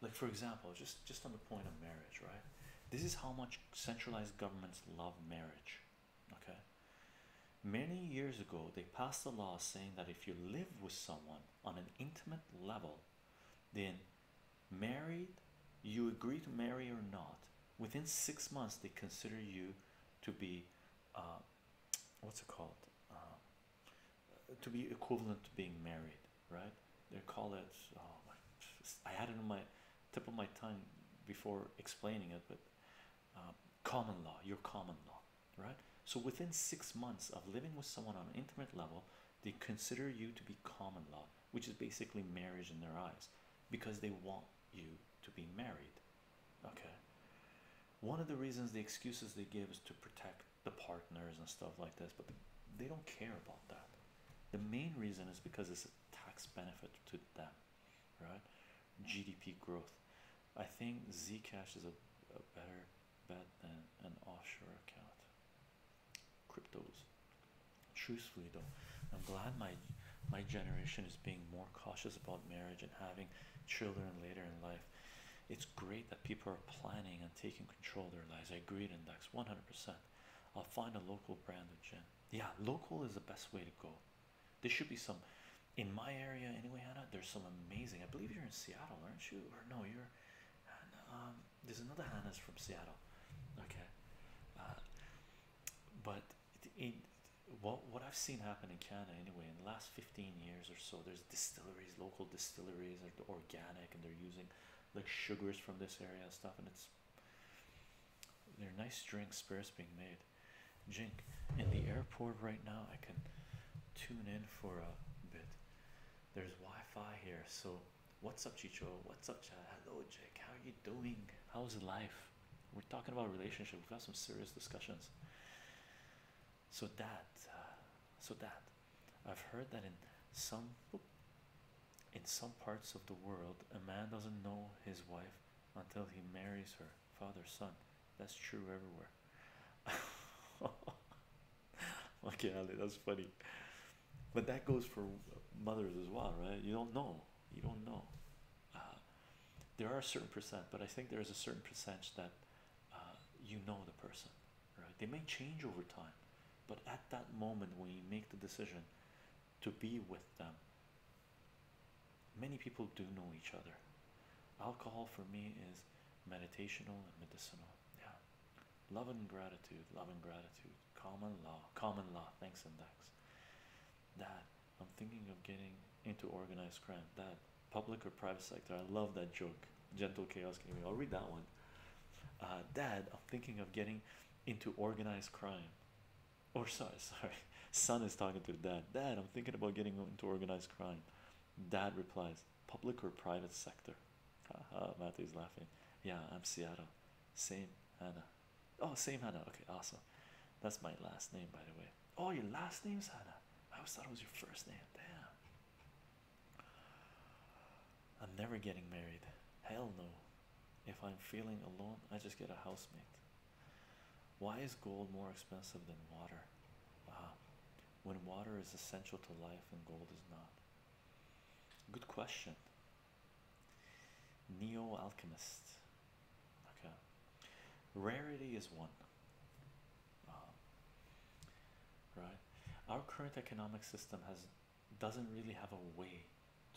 like for example just just on the point of marriage right this is how much centralized governments love marriage okay many years ago they passed a law saying that if you live with someone on an intimate level then married you agree to marry or not within six months they consider you to be uh, what's it called uh, to be equivalent to being married, right? They call it. Oh I had it on my tip of my tongue before explaining it, but um, common law. Your common law, right? So within six months of living with someone on an intimate level, they consider you to be common law, which is basically marriage in their eyes, because they want you to be married. Okay. One of the reasons the excuses they give is to protect the partners and stuff like this, but they don't care about that. The main reason is because it's a tax benefit to them, right? GDP growth. I think Zcash is a, better bet than an offshore account. Cryptos. Truthfully, though, I'm glad my my generation is being more cautious about marriage and having children later in life. It's great that people are planning and taking control their lives. I agree, Index, 100%. I'll find a local brand of gin. Yeah, local is the best way to go. There should be some in my area anyway, Hannah. There's some amazing. I believe you're in Seattle, aren't you? Or no, you're. Um, there's another Hannah's from Seattle. Okay, uh, but in, what what I've seen happen in Canada anyway in the last 15 years or so, there's distilleries local distilleries are organic and they're using like sugars from this area and stuff, and it's they're nice drinks, spirits being made. Jink in the airport right now, I can tune in for a bit. There's Wi-Fi here, so what's up, Chicho? What's up, Chad? Hello, Jake. How are you doing? How's life? We're talking about relationship. We've got some serious discussions so that uh, so that I've heard that in some in some parts of the world a man doesn't know his wife until he marries her father son that's true everywhere <laughs> okay Ali, that's funny but that goes for mothers as well right you don't know you don't know uh, there are a certain percent but I think there is a certain percentage that uh, you know the person right? They may change over time, but at that moment when you make the decision to be with them, many people do know each other. Alcohol for me is meditational and medicinal. Yeah. Love and gratitude, love and gratitude, common law, common law, thanks and thanks. That I'm thinking of getting into organized crime. That public or private sector. I love that joke. Gentle Chaos Gaming. I'll read that one. Uh, Dad, I'm thinking of getting into organized crime. Or <laughs> sorry, sorry. Son is talking to dad. Dad, I'm thinking about getting into organized crime. Dad replies, public or private sector? Haha, Matthew's laughing. Yeah, I'm Seattle. Same Hannah. Oh, same Hannah. Okay, awesome. That's my last name, by the way. Oh, your last name's Hannah. I always thought it was your first name. Damn. I'm never getting married. Hell no. If I'm feeling alone, I just get a housemate. Why is gold more expensive than water? Uh, when water is essential to life and gold is not. Good question. Neo alchemist. Okay. Rarity is one. Um, right our current economic system has doesn't really have a way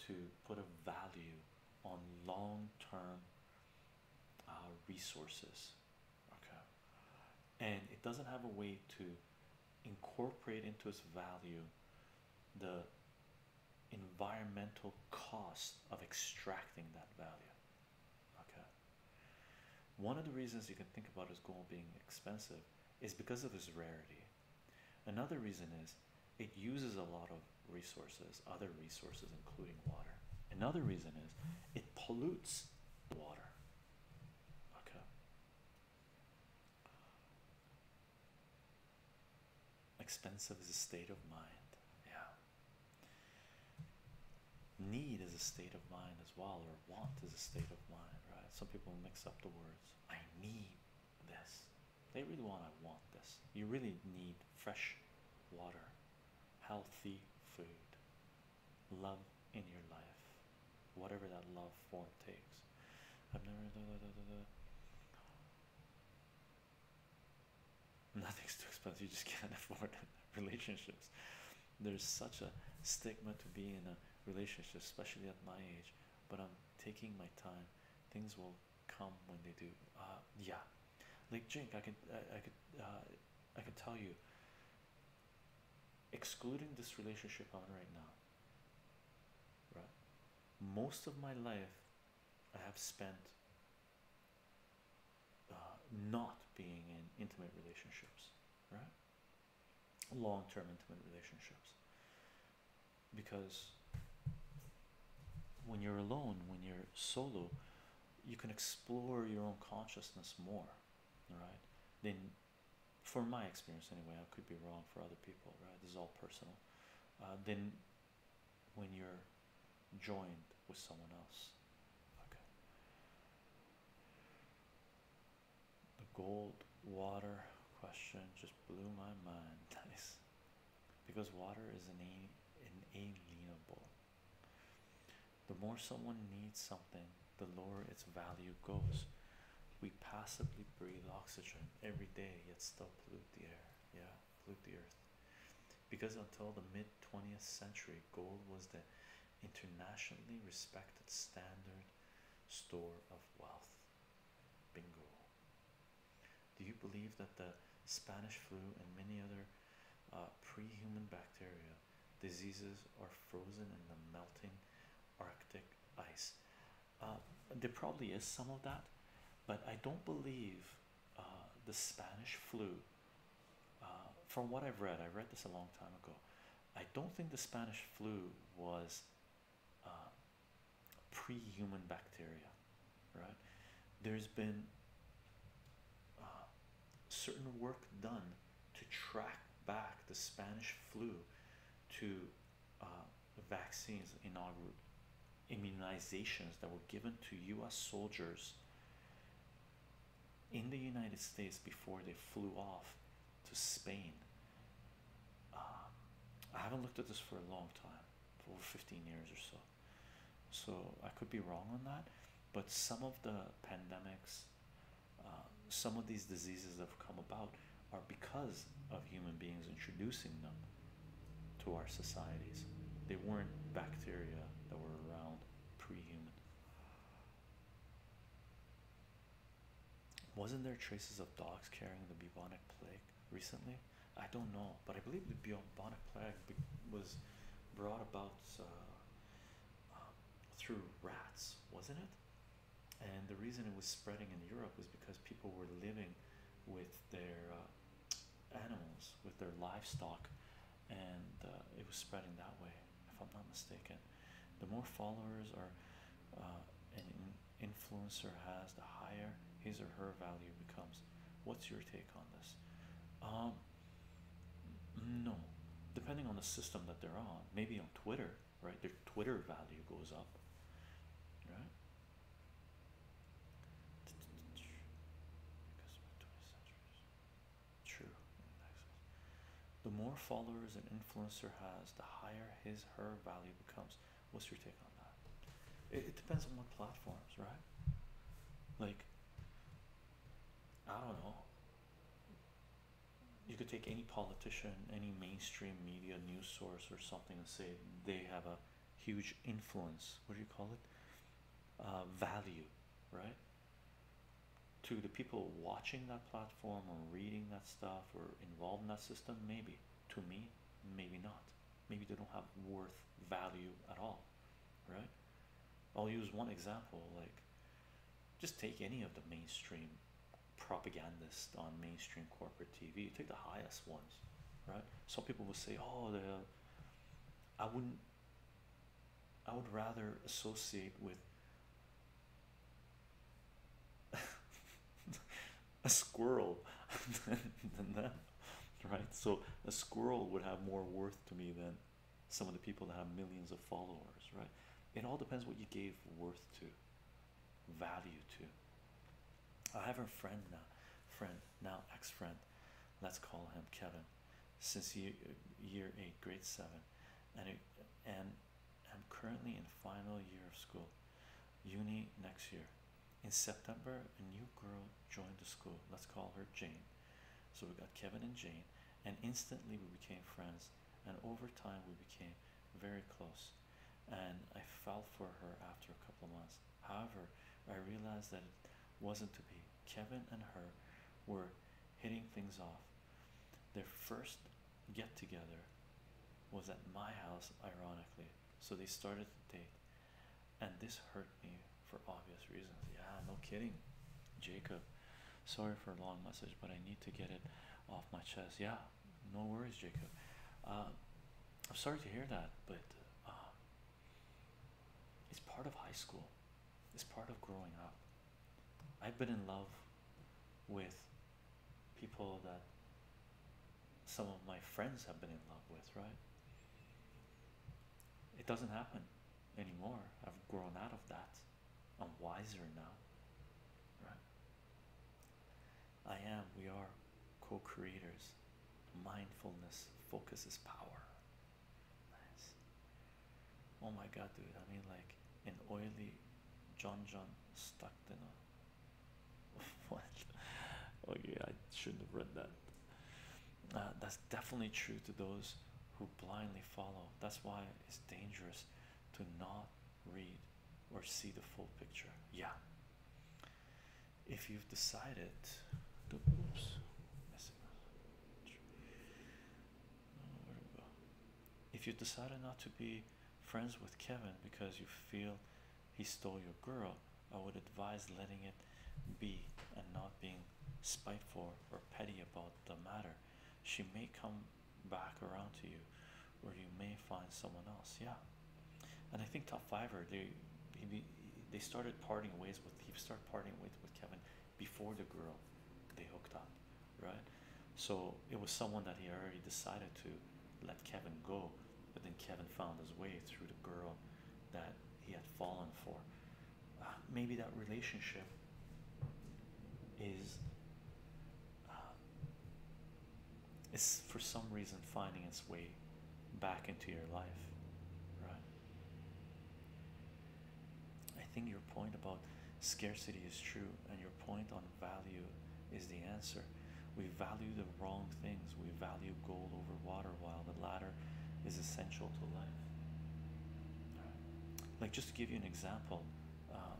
to put a value on long-term uh, resources okay and it doesn't have a way to incorporate into its value the environmental cost of extracting that value okay one of the reasons you can think about is gold being expensive is because of its rarity. Another reason is it uses a lot of resources, other resources, including water. Another reason is it pollutes water. Okay. Expensive is a state of mind. Yeah. Need is a state of mind as well, or want is a state of mind, right? Some people mix up the words. I need this. They really want. I want this. You really need fresh water, healthy food, love in your life, whatever that love form takes. I've never. Da, da, Nothing's too expensive. You just can't <laughs> afford <laughs> relationships there's such a stigma to be in a relationship, especially at my age. But I'm taking my time. Things will come when they do. Uh, yeah, like Jink, I can, I, I could, uh, I can tell you. Excluding this relationship on right now. Right, most of my life, I have spent. Uh, not being in intimate relationships, right? long term intimate relationships because when you're alone, when you're solo, you can explore your own consciousness more, right? Then, for my experience anyway, I could be wrong for other people, right? This is all personal. Uh, then, when you're joined with someone else, okay the gold water question just blew my mind nice <laughs> because water is an inalienable the more someone needs something the lower its value goes we passively breathe oxygen every day yet still pollute the air yeah pollute the earth because until the mid 20th century gold was the internationally respected standard store of wealth. Bingo. Do you believe that the Spanish flu and many other uh, pre-human bacteria diseases are frozen in the melting Arctic ice? Uh, there probably is some of that, but I don't believe uh, the Spanish flu. from what I've read, I read this a long time ago. I don't think the Spanish flu was um, pre-human bacteria, right? There's been uh, certain work done to track back the Spanish flu to uh, vaccines inaugural immunizations that were given to U.S. soldiers in the United States before they flew off to Spain. Um, I haven't looked at this for a long time, for over 15 years or so. So I could be wrong on that, but some of the pandemics, uh, some of these diseases have come about are because of human beings introducing them to our societies. They weren't bacteria that were around pre human. Wasn't there traces of dogs carrying the bubonic plague recently? I don't know, but I believe the bubonic plague was brought about uh, uh, through rats, wasn't it? And the reason it was spreading in Europe was because people were living with their uh, animals, with their livestock, and it was spreading that way if I'm not mistaken. The more followers or uh, an influencer has, the higher his or her value becomes. What's your take on this? Um, no, depending on the system that they're on. Maybe on Twitter, right? Their Twitter value goes up, right? True. The more followers an influencer has, the higher his her value becomes. What's your take on that? It, depends on what platforms, right? Like, I don't know. You could take any politician, any mainstream media news source or something, and say they have a huge influence. What do you call it? Uh, value, right? to the people watching that platform or reading that stuff or involved in that system maybe to me maybe not maybe they don't have worth value at all right i'll use one example like just take any of the mainstream propagandist on mainstream corporate tv you take the highest ones right some people will say oh the i wouldn't i would rather associate with a squirrel than them, right? So a squirrel would have more worth to me than some of the people that have millions of followers, right? It all depends what you gave worth to, value to. I have a friend now, friend now ex-friend, let's call him Kevin, since year, year eight, grade seven, and and i am currently in final year of school, uni next year. In September, a new girl joined the school. Let's call her Jane. So we got Kevin and Jane, and instantly we became friends. And over time, we became very close. And I fell for her after a couple of months. However, I realized that it wasn't to be. Kevin and her were hitting things off. Their first get together was at my house, ironically. So they started the date, and this hurt me for obvious reasons. Yeah, no kidding, Jacob. Sorry for a long message, but I need to get it off my chest. Yeah, no worries, Jacob. Uh, I'm sorry to hear that, but uh, it's part of high school, it's part of growing up. I've been in love with people that some of my friends have been in love with, right? It doesn't happen anymore. I've grown out of that. I'm wiser now, right? I am, we are co creators. Mindfulness focuses power. Oh my god, dude. I mean, like, an oily John John Stockton. <laughs> what? Okay, I shouldn't have read that. Uh, that's definitely true to those who blindly follow. That's why it's dangerous to not read or see the full picture. Yeah. If you've decided to oops, missing. Oh, if you decided not to be friends with Kevin because you feel he stole your girl, I would advise letting it be and not being spiteful or petty about the matter. She may come back around to you, or you may find someone else. Yeah, and I think top fiver they he, they started parting ways with he started parting with with Kevin before the girl they hooked up right? So it was someone that he already decided to let Kevin go, but then Kevin found his way through the girl that he had fallen for. Uh, maybe that relationship is uh, is for some reason finding its way back into your life, right? I think your point about scarcity is true, and your point on value is the answer. We value the wrong things. We value gold over water while the latter is essential to life. Like just to give you an example, um,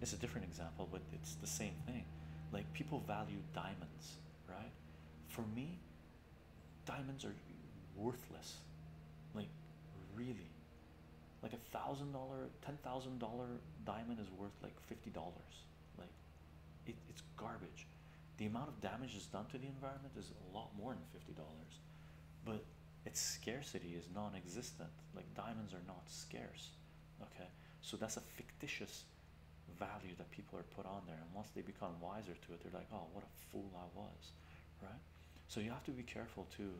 it's a different example, but it's the same thing. Like people value diamonds, right? For me, diamonds are worthless. Like really like a thousand dollar ten thousand dollar diamond is worth like fifty dollars like it, it's garbage the amount of damage it's done to the environment is a lot more than fifty dollars but its scarcity is non-existent like diamonds are not scarce okay so that's a fictitious value that people are put on there and once they become wiser to it they're like oh what a fool i was right so you have to be careful too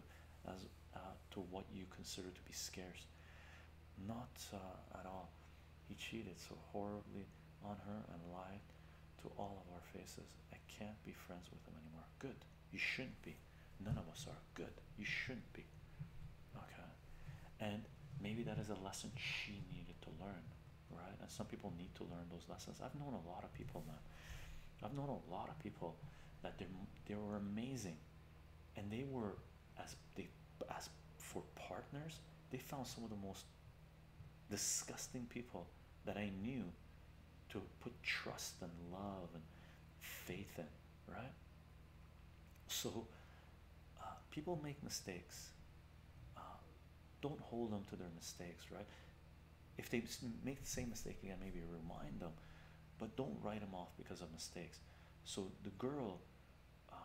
as uh, to what you consider to be scarce. Not uh, at all. He cheated so horribly on her and lied to all of our faces. I can't be friends with him anymore. Good. You shouldn't be. None of us are good. You shouldn't be. Okay. And maybe that is a lesson she needed to learn, right? And some people need to learn those lessons. I've known a lot of people, man. I've known a lot of people that they were amazing and they were as they as for partners they found some of the most disgusting people that i knew to put trust and love and faith in right so uh, people make mistakes uh, don't hold them to their mistakes right if they make the same mistake again maybe remind them but don't write them off because of mistakes. So the girl uh,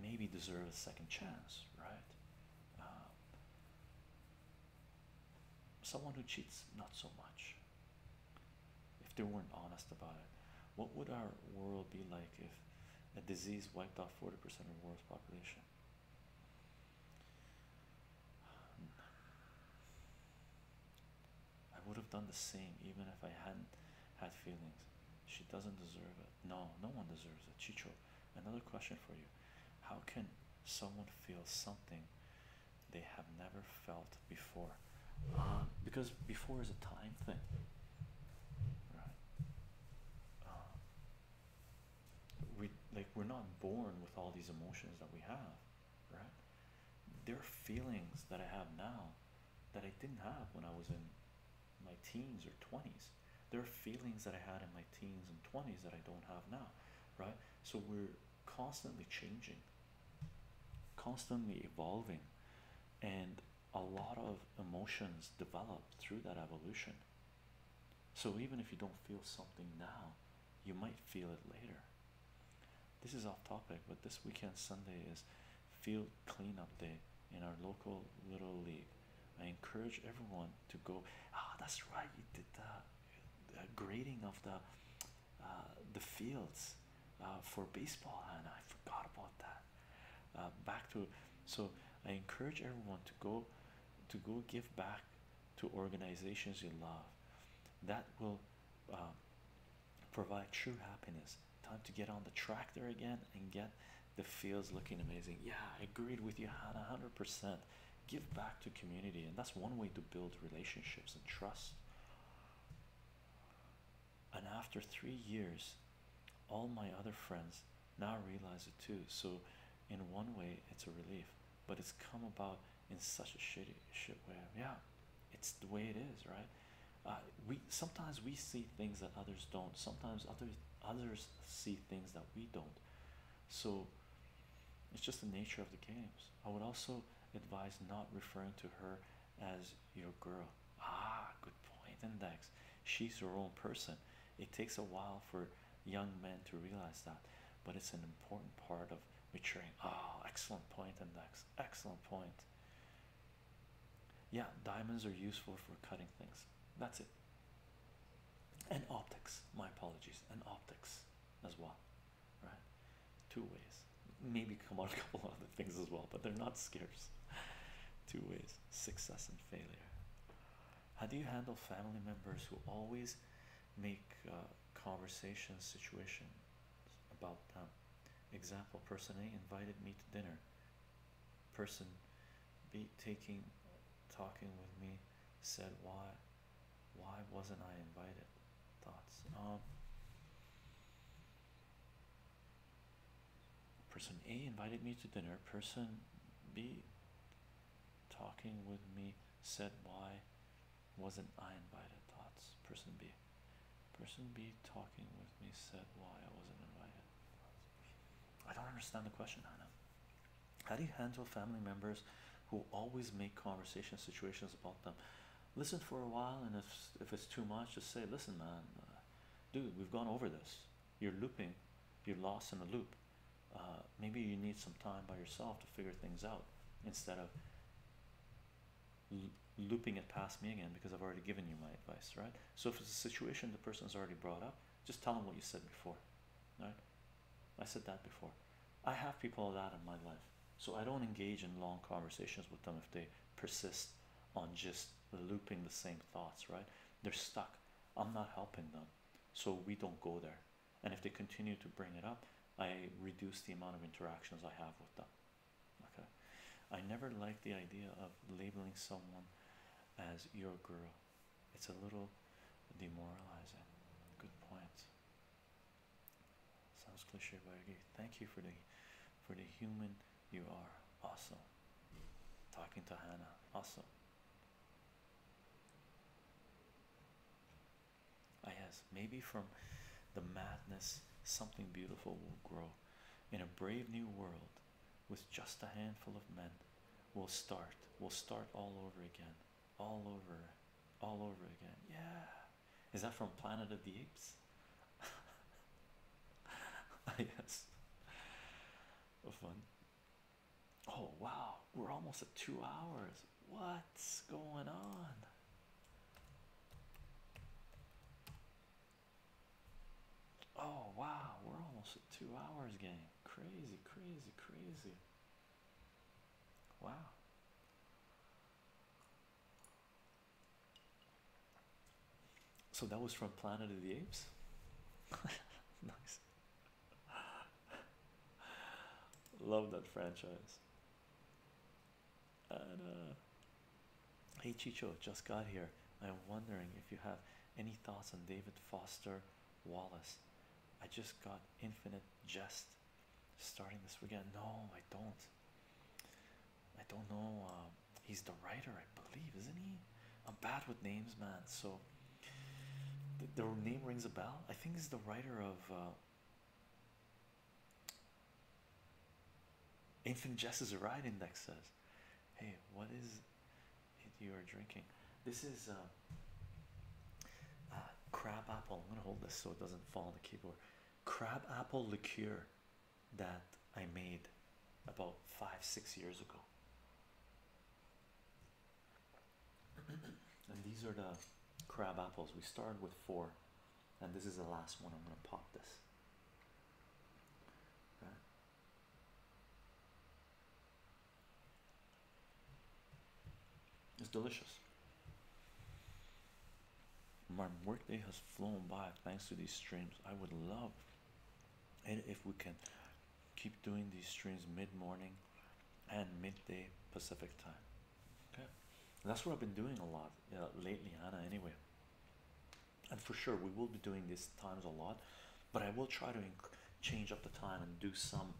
maybe deserves a second chance, right? Uh, someone who cheats, not so much. If they weren't honest about it, what would our world be like if a disease wiped out 40% of the world's population? I would have done the same even if I hadn't had feelings. She doesn't deserve it. No, no one deserves it. Chicho, another question for you. How can someone feel something they have never felt before? Um, because before is a time thing. Right? Um, we like we're not born with all these emotions that we have right? There are feelings that I have now that I didn't have when I was in my teens or 20s. There are feelings that I had in my teens and 20s that I don't have now, right? So we're constantly changing, constantly evolving, and a lot of emotions develop through that evolution. So even if you don't feel something now, you might feel it later. This is off topic, but this weekend Sunday is field clean up day in our local little league. I encourage everyone to go. Ah, that's right. You did the, grading of the uh, the fields uh, for baseball, and I forgot about that. Uh, back to so I encourage everyone to go to go give back to organizations you love. That will provide true happiness. Time to get on the tractor again and get the fields looking amazing. Yeah, I agreed with you, Hannah, 100%. Give back to community, and that's one way to build relationships and trust. And after three years, all my other friends now realize it too. So, in one way, it's a relief, but it's come about in such a shitty shit way. Yeah, it's the way it is, right? Uh, we sometimes we see things that others don't. Sometimes others others see things that we don't. So it's just the nature of the games. I would also advise not referring to her as your girl. Ah, good point, Index. She's her own person. It takes a while for young men to realize that, but it's an important part of maturing. Ah, oh, excellent point, Index. Excellent point. Yeah, diamonds are useful for cutting things. That's it. And optics. My apologies. And optics as well. Right? Two ways. Maybe come on a <laughs> couple other things as well, but they're not scarce. Two ways. Success and failure. How do you handle family members who always make uh, conversation situation about them. Example: Person A invited me to dinner. Person B taking, talking with me, said why, why wasn't I invited? Thoughts. Um, person A invited me to dinner. Person B talking with me said why wasn't I invited? Thoughts. Person B. Person B talking with me said why I wasn't invited. I don't understand the question, Hannah. How do you handle family members who always make conversation situations about them? Listen for a while, and if if it's too much, just say, "Listen, man, uh, dude, we've gone over this. You're looping. You're lost in a loop. Uh, maybe you need some time by yourself to figure things out." Instead of looping it past me again because I've already given you my advice, right? So if it's a situation the person has already brought up, just tell them what you said before, right? I said that before. I have people that in my life, so I don't engage in long conversations with them if they persist on just looping the same thoughts, right? They're stuck. I'm not helping them, so we don't go there. And if they continue to bring it up, I reduce the amount of interactions I have with them. Okay, I never like the idea of labeling someone as your girl, it's a little demoralizing. Good point. Sounds cliche, but I agree. Thank you for the for the human you are. Awesome. Talking to Hannah. Awesome. I guess maybe from the madness something beautiful will grow in a brave new world with just a handful of men. We'll start, we'll start all over again, all over, all over again. Yeah, is that from Planet of the Apes? yes, <laughs> oh, fun. Oh, wow, we're almost at two hours. What's going on? Oh wow, we're almost at two hours, game. Crazy, crazy, crazy. Wow. So that was from Planet of the Apes. <laughs> nice. Love that franchise. Uh, hey Chicho, just got here. I'm wondering if you have any thoughts on David Foster Wallace. I just got Infinite Jest starting this weekend. No, I don't. I don't know. Um, he's the writer, I believe, isn't he? I'm bad with names, man. So the, name rings a bell. I think he's the writer of uh, Infant Jess's right index says, Hey, what is you are drinking? This is um, uh, crab apple. I'm gonna hold this so it doesn't fall on the keyboard. Crab apple liqueur that I made about five, six years ago. <clears throat> and these are the crab apples. We started with four and this is the last one. I'm going to pop this. It's delicious. My workday has flown by thanks to these streams. I would love if we can keep doing these streams mid morning and midday Pacific time. Okay, that's what I've been doing a lot uh, lately, Hannah. Anyway, and for sure we will be doing these times a lot, but I will try to change up the time and do some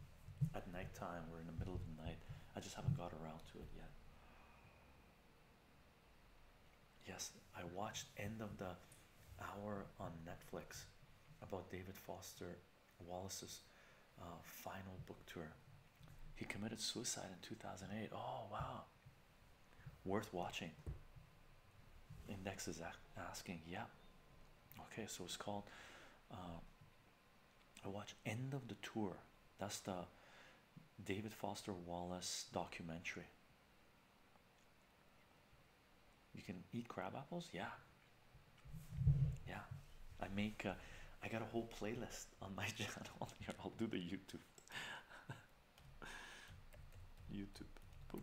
at night time or in the middle of the night. I just haven't got around to it yet. Yes, I watched End of the Hour on Netflix about David Foster Wallace's uh, final book tour. He committed suicide in 2008. Oh, wow. Worth watching. Index is asking, yeah. Okay, so it's called. Uh, I watch End of the Tour. That's the David Foster Wallace documentary. You can eat crab apples, yeah. Yeah, I make. Uh, I got a whole playlist on my <laughs> channel I'll do the YouTube <laughs> YouTube. Boom.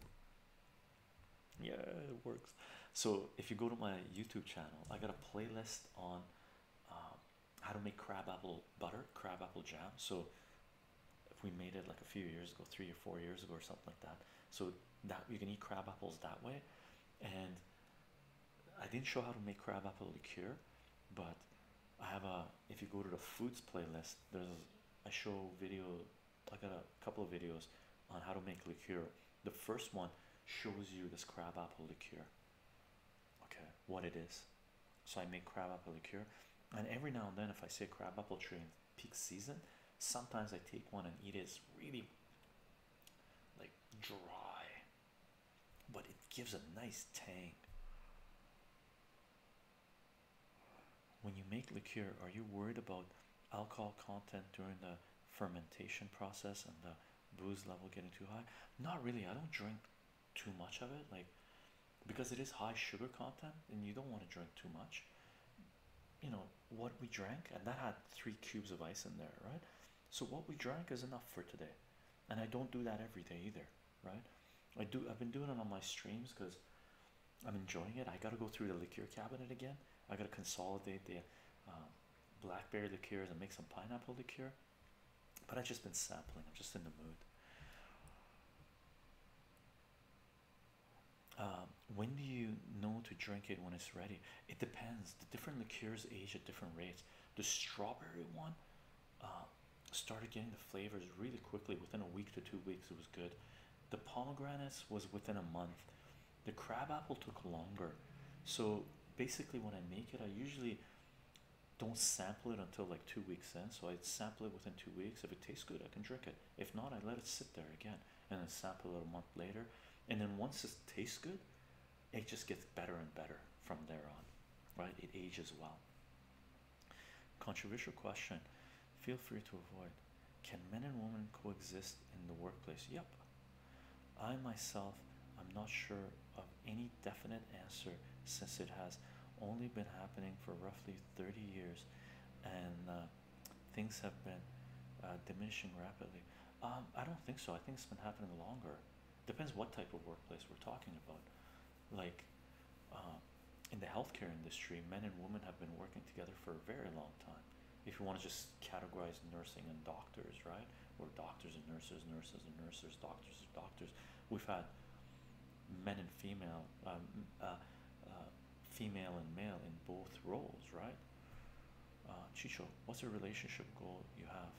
Yeah, it works. So if you go to my YouTube channel, I got a playlist on um, how to make crab apple butter, crab apple jam. So if we made it like a few years ago, three or four years ago, or something like that. So that you can eat crab apples that way, and I didn't show how to make crab apple liqueur, but I have a if you go to the foods playlist, there's a show video. I got a couple of videos on how to make liqueur. The first one shows you this crab apple liqueur. Okay, what it is. So I make crab apple liqueur, and every now and then, if I see a crab apple tree in peak season, sometimes I take one and eat it. It's really like dry but it gives a nice tang. When you make liqueur, are you worried about alcohol content during the fermentation process and the booze level getting too high? Not really. I don't drink too much of it, like because it is high sugar content, and you don't want to drink too much. You know what we drank, and that had three cubes of ice in there, right? So, what we drank is enough for today, and I don't do that every day either right? I do. I've been doing it on my streams because I'm enjoying it. I gotta go through the liqueur cabinet again. I gotta consolidate the um, blackberry liqueurs and make some pineapple liqueur. But I've just been sampling. I'm just in the mood. Um, when do you know to drink it when it's ready? It depends. The different liqueurs age at different rates. The strawberry one uh, started getting the flavors really quickly within a week to two weeks. It was good. The pomegranates was within a month. The crabapple took longer. So basically, when I make it, I usually don't sample it until like two weeks in. So I sample it within two weeks. If it tastes good, I can drink it. If not, I let it sit there again and then sample it a month later. And then once it tastes good, it just gets better and better from there on, right? It ages well. Controversial question. Feel free to avoid. Can men and women coexist in the workplace? Yep. I myself am not sure of any definite answer since it has only been happening for roughly 30 years and uh, things have been uh, diminishing rapidly. Um, I don't think so. I think it's been happening longer. Depends what type of workplace we're talking about like um, in the healthcare industry, men and women have been working together for a very long time. If you want to just categorize nursing and doctors, right? Or doctors and nurses, nurses and nurses, doctors and doctors. We've had men and female, um, uh, uh, female and male in both roles, right? Uh, Chicho, what's a relationship goal you have?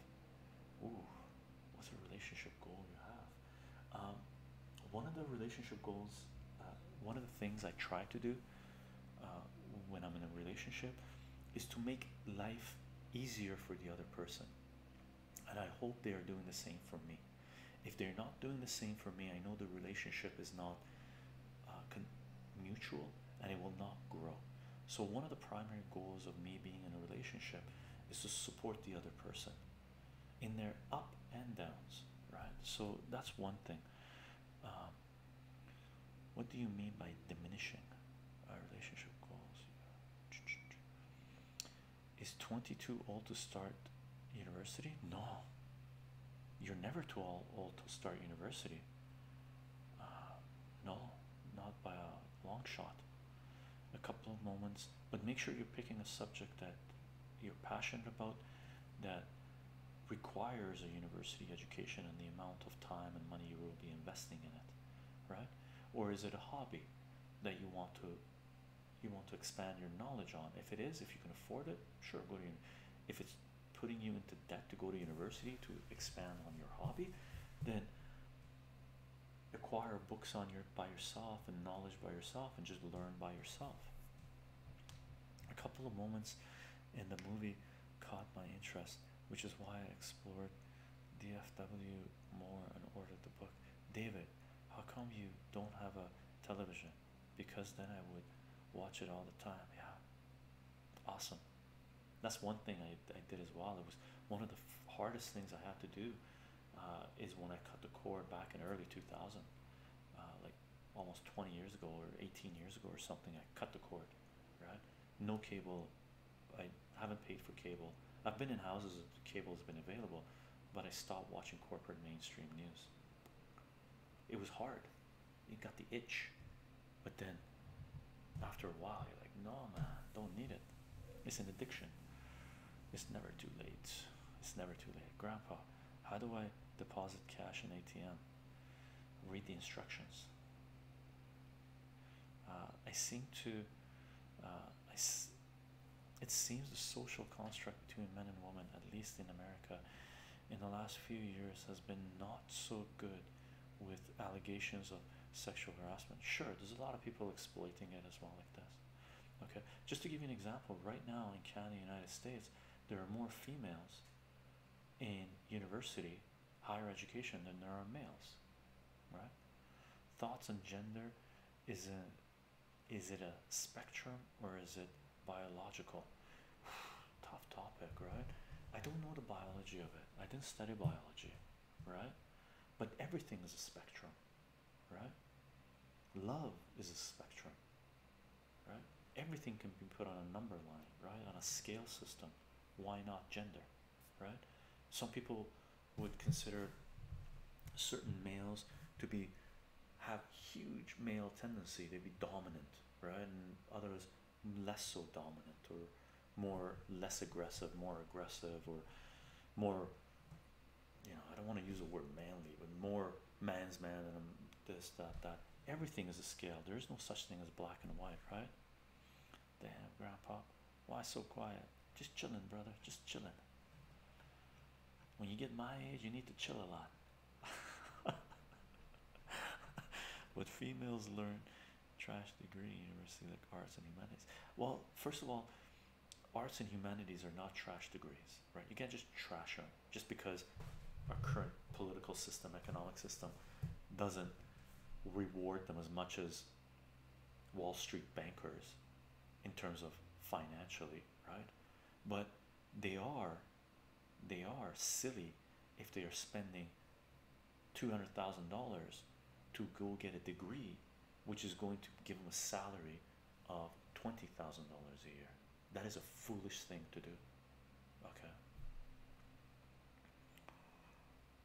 what's a relationship goal you have um, one of the relationship goals uh, one of the things i try to do uh, when i'm in a relationship is to make life easier for the other person and i hope they are doing the same for me if they're not doing the same for me i know the relationship is not uh, mutual and it will not grow so one of the primary goals of me being in a relationship is to support the other person in their up and downs, right? So that's one thing. Um, what do you mean by diminishing our relationship goals? Is 22 old to start university? No, you're never too old to start university. Uh, no, not by a long shot a couple of moments, but make sure you're picking a subject that you're passionate about that requires a university education and the amount of time and money you will be investing in it right or is it a hobby that you want to you want to expand your knowledge on if it is if you can afford it sure go to if it's putting you into debt to go to university to expand on your hobby then acquire books on your by yourself and knowledge by yourself and just learn by yourself. A couple of moments in the movie caught my interest, which is why I explored DFW more and ordered the book. David, how come you don't have a television? Because then I would watch it all the time. Yeah. Awesome. That's one thing I, I did as well. It was one of the hardest things I had to do uh, is when I cut the cord back in early 2000, uh, like almost 20 years ago or 18 years ago or something. I cut the cord, right? No cable. I haven't paid for cable. I've been in houses that cable has been available, but I stopped watching corporate mainstream news. It was hard. You got the itch, but then after a while, you're like, no, man, don't need it. It's an addiction. It's never too late. It's never too late. Grandpa, how do I deposit cash in ATM? Read the instructions. Uh, I seem to. Uh, I s it seems the social construct between men and women, at least in America, in the last few years has been not so good with allegations of sexual harassment. Sure, there's a lot of people exploiting it as well. Okay, just to give you an example, right now in Canada, United States, there are more females in university, higher education than there are males. Right? Thoughts on gender is a is it a spectrum or is it biological? <sighs> Tough topic, right? I don't know the biology of it. I didn't study biology, right? But everything is a spectrum right? Love is a spectrum, right? Everything can be put on a number line, right? On a scale system. Why not gender, right? Some people would consider certain males to be have huge male tendency to be dominant, right? And others less so dominant or more less aggressive, more aggressive, or more you know, I don't want to use the word manly, but more man's man than this, that, that. Everything is a scale. There is no such thing as black and white, right? Damn, Grandpa, why so quiet? Just chilling, brother. Just chilling. When you get my age, you need to chill a lot. <laughs> what females learn, trash degree, university like arts and humanities. Well, first of all, arts and humanities are not trash degrees, right? You can't just trash them just because our current political system, economic system doesn't reward them as much as Wall Street bankers in terms of financially, right? But they are they are silly if they are spending $200,000 to go get a degree which is going to give him a salary of $20,000 a year. That is a foolish thing to do. Okay.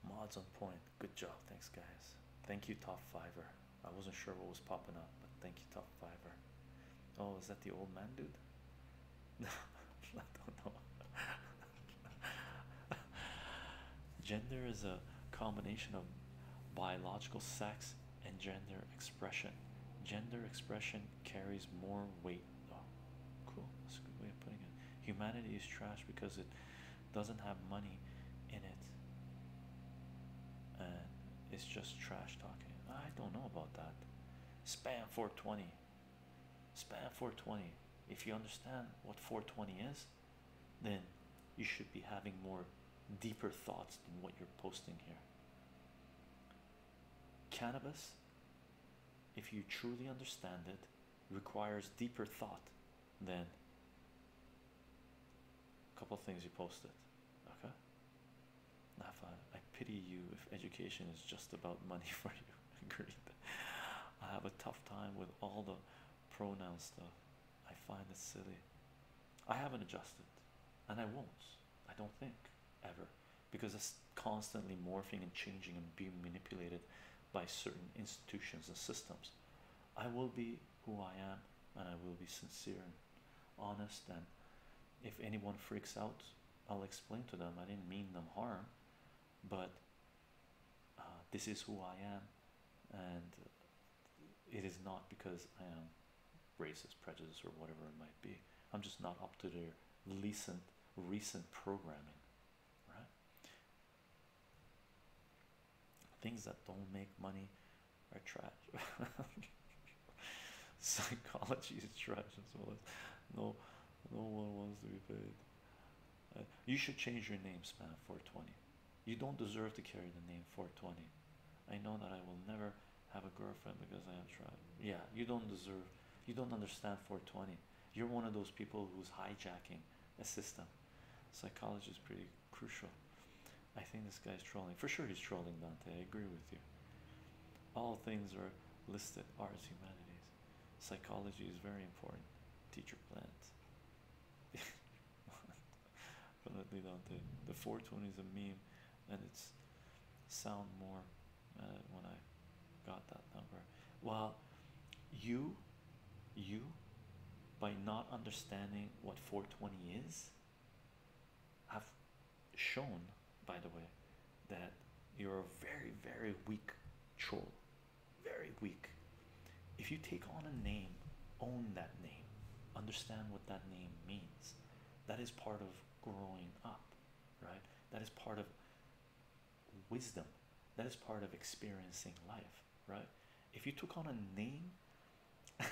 Mods on point. Good job. Thanks, guys. Thank you, Top Fiver. I wasn't sure what was popping up, but thank you, Top Fiver. Oh, is that the old man, dude? No, <laughs> I don't know. <laughs> Gender is a combination of biological sex and gender expression. Gender expression carries more weight. Oh, cool. That's a good way of putting it. Humanity is trash because it doesn't have money in it. And it's just trash talking. I don't know about that. Spam 420. Spam 420. If you understand what 420 is, then you should be having more deeper thoughts than what you're posting here. Cannabis, if you truly understand it, requires deeper thought than a couple things you posted. Okay? Nafa, I pity you if education is just about money <laughs> for you. Agreed. I have a tough time with all the pronoun stuff. I find it silly. I haven't adjusted and I won't, I don't think ever because it's constantly morphing and changing and being manipulated by certain institutions and systems. I will be who I am and I will be sincere and honest. And if anyone freaks out, I'll explain to them I didn't mean them harm, but uh, this is who I am, and it is not because I am racist, prejudice, or whatever it might be. I'm just not up to their recent recent programming, right? Things that don't make money are trash. <laughs> Psychology is trash as well no no one wants to be paid. Uh, you should change your name, spam 420. You don't deserve to carry the name 420. I know that I will never have a girlfriend because I am trying. Yeah, you don't deserve, you don't understand 420. You're one of those people who's hijacking a system. Psychology is pretty crucial. I think this guy's trolling. For sure, he's trolling Dante. I agree with you. All things are listed arts, humanities. Psychology is very important. Teacher plant. <laughs> but let leave out the 420 is a meme and it's sound more uh, when I got that number well you you by not understanding what 420 is have shown by the way that you're a very very weak troll very weak if you take on a name, own that name, understand what that name means. That is part of growing up, right? That is part of wisdom. That is part of experiencing life, right? If you took on a name, <laughs>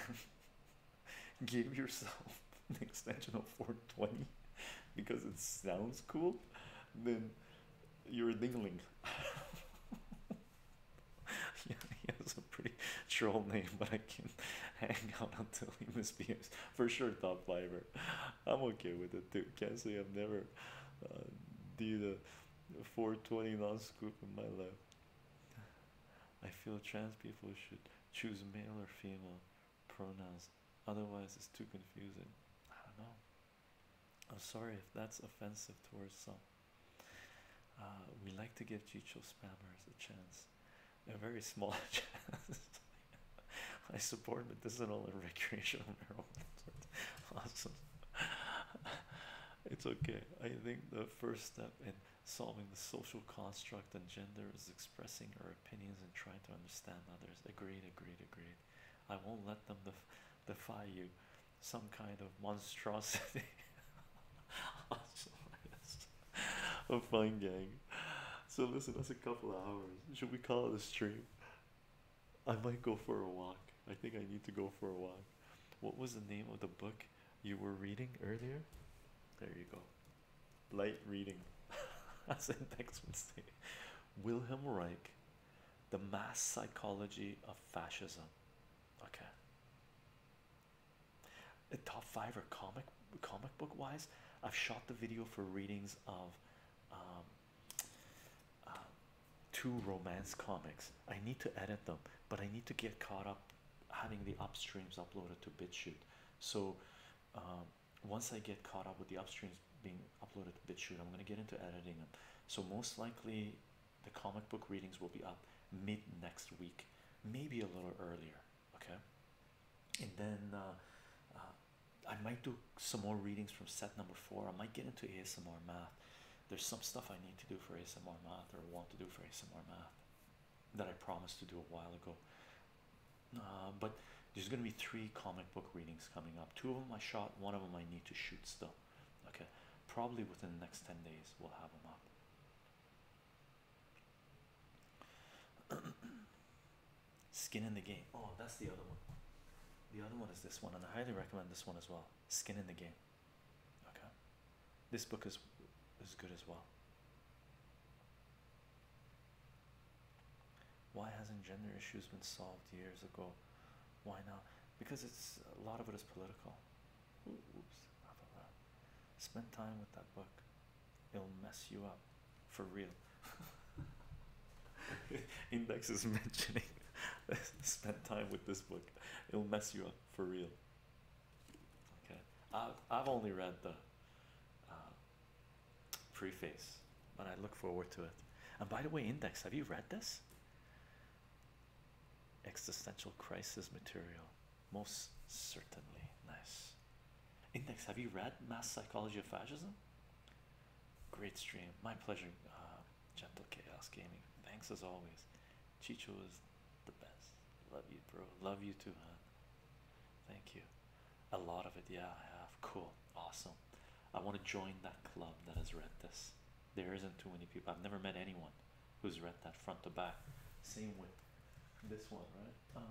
give yourself <laughs> an extension of 420 because it sounds cool, then you're dingling. <laughs> <laughs> yeah, he has a pretty troll name, but I can <laughs> hang out until he misbehaves. For sure, top fiber. I'm okay with it, too. Can't say I've never uh, did a 420 non-scoop in my life. I feel trans people should choose male or female pronouns. Otherwise, it's too confusing. I don't know. I'm sorry if that's offensive towards some. Uh, we like to give Chicho spammers a chance, a very small <laughs> chance. I support but medicinal and recreational <laughs> marijuana. awesome. It's okay. I think the first step in solving the social construct and gender is expressing our opinions and trying to understand others. Agreed, agreed, agreed. I won't let them defy you some kind of monstrosity a <laughs> fun gang so listen that's a couple of hours should we call it a stream i might go for a walk i think i need to go for a walk what was the name of the book you were reading earlier there you go light reading As in next wilhelm reich the mass psychology of fascism okay the top five are comic comic book wise. I've shot the video for readings of um, uh, two romance comics. I need to edit them, but I need to get caught up having the upstreams uploaded to BitChute. So um, once I get caught up with the upstreams being uploaded to BitChute, I'm going to get into editing them. So most likely the comic book readings will be up mid next week, maybe a little earlier. Okay, and then uh, uh, I might do some more readings from set number four. I might get into ASMR math. There's some stuff I need to do for ASMR math or want to do for ASMR math that I promised to do a while ago. Uh, but there's going to be three comic book readings coming up. Two of them I shot, one of them I need to shoot still. Okay, probably within the next 10 days, we'll have them up. <clears throat> Skin in the game. Oh, that's the other one. The other one is this one, and I highly recommend this one as well. Skin in the game. Okay, this book is is good as well. Why hasn't gender issues been solved years ago? Why not? Because it's a lot of it is political. Oops, I forgot. Spend time with that book. It'll mess you up for real. <laughs> Index is mentioning <laughs> spend time with this book. It'll mess you up for real. Okay. I've I've only read the uh, preface, but I look forward to it. And by the way, Index, have you read this? Existential crisis material, most certainly. Nice. Index, have you read Mass Psychology of Fascism? Great stream. My pleasure, uh, Gentle Chaos Gaming. Thanks as always. Chicho is the best. Love you, bro. Love you too, man. Thank you. A lot of it, yeah, I have. Cool. Awesome. I want to join that club that has read this. There isn't too many people. I've never met anyone who's read that front to back. Same with this one, right?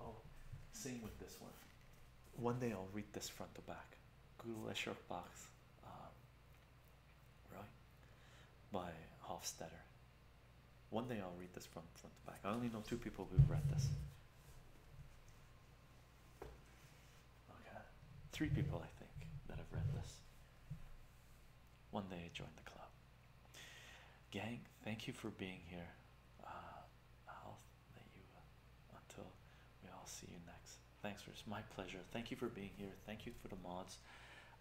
oh, same with this one. One day I'll read this front to back. Google Short um, right? By Hofstadter. One day I'll read this from front to back. I only know two people who've read this. Okay, three people I think that have read this. One day joined the club. Gang, thank you for being here. I'll uh, let you uh, until we all see you next. Thanks for it's my pleasure. Thank you for being here. Thank you for the mods.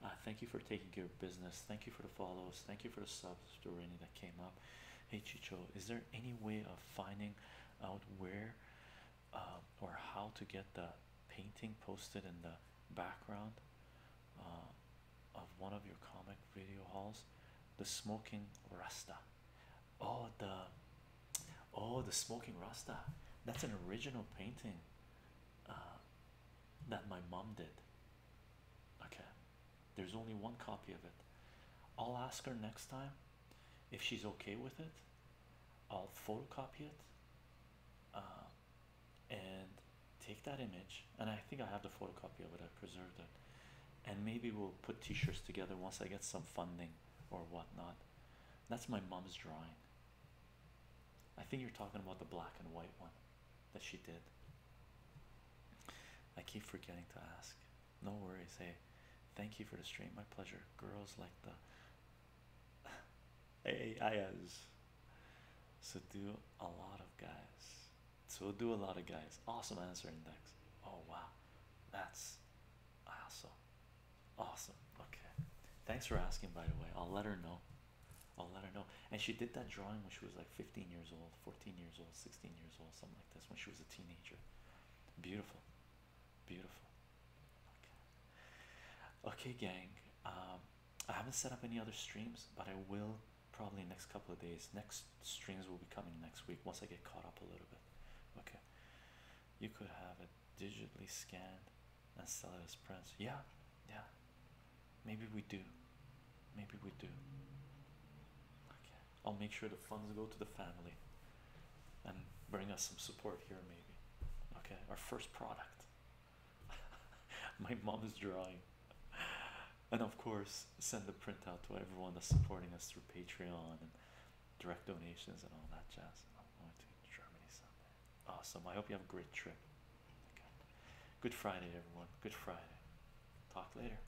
Uh, thank you for taking care of business. Thank you for the follows. Thank you for the subs to Rainy that came up. Hey Chicho, is there any way of finding out where uh, or how to get the painting posted in the background uh, of one of your comic video halls, the smoking rasta oh the oh the smoking rasta that's an original painting uh, that my mom did okay there's only one copy of it i'll ask her next time if she's okay with it, I'll photocopy it uh, and take that image. And I think I have the photocopy of it, I preserved it. And maybe we'll put t shirts together once I get some funding or whatnot. That's my mom's drawing. I think you're talking about the black and white one that she did. I keep forgetting to ask. No worries. Hey, thank you for the stream. My pleasure. Girls like the Hey, <laughs> So do a lot of guys. So do a lot of guys. Awesome answer index. Oh wow. That's awesome. Awesome. Okay. Thanks for asking by the way. I'll let her know. I'll let her know. And she did that drawing when she was like 15 years old, 14 years old, 16 years old, something like this, when she was a teenager. Beautiful. Beautiful. Okay, gang. Um, I haven't set up any other streams, but I will probably next couple of days. Next streams will be coming next week once I get caught up a little bit. Okay. You could have it digitally scanned and sell it as prints. Yeah, yeah. Maybe we do. Maybe we do. Okay. I'll make sure the funds go to the family and bring us some support here, maybe. Okay, our first product. <laughs> My mom is drawing, and of course, send the print out to everyone that's supporting us through Patreon and direct donations and all that jazz. I'm going to Germany someday. Awesome. I hope you have a great trip. Good Friday, everyone. Good Friday. Talk later.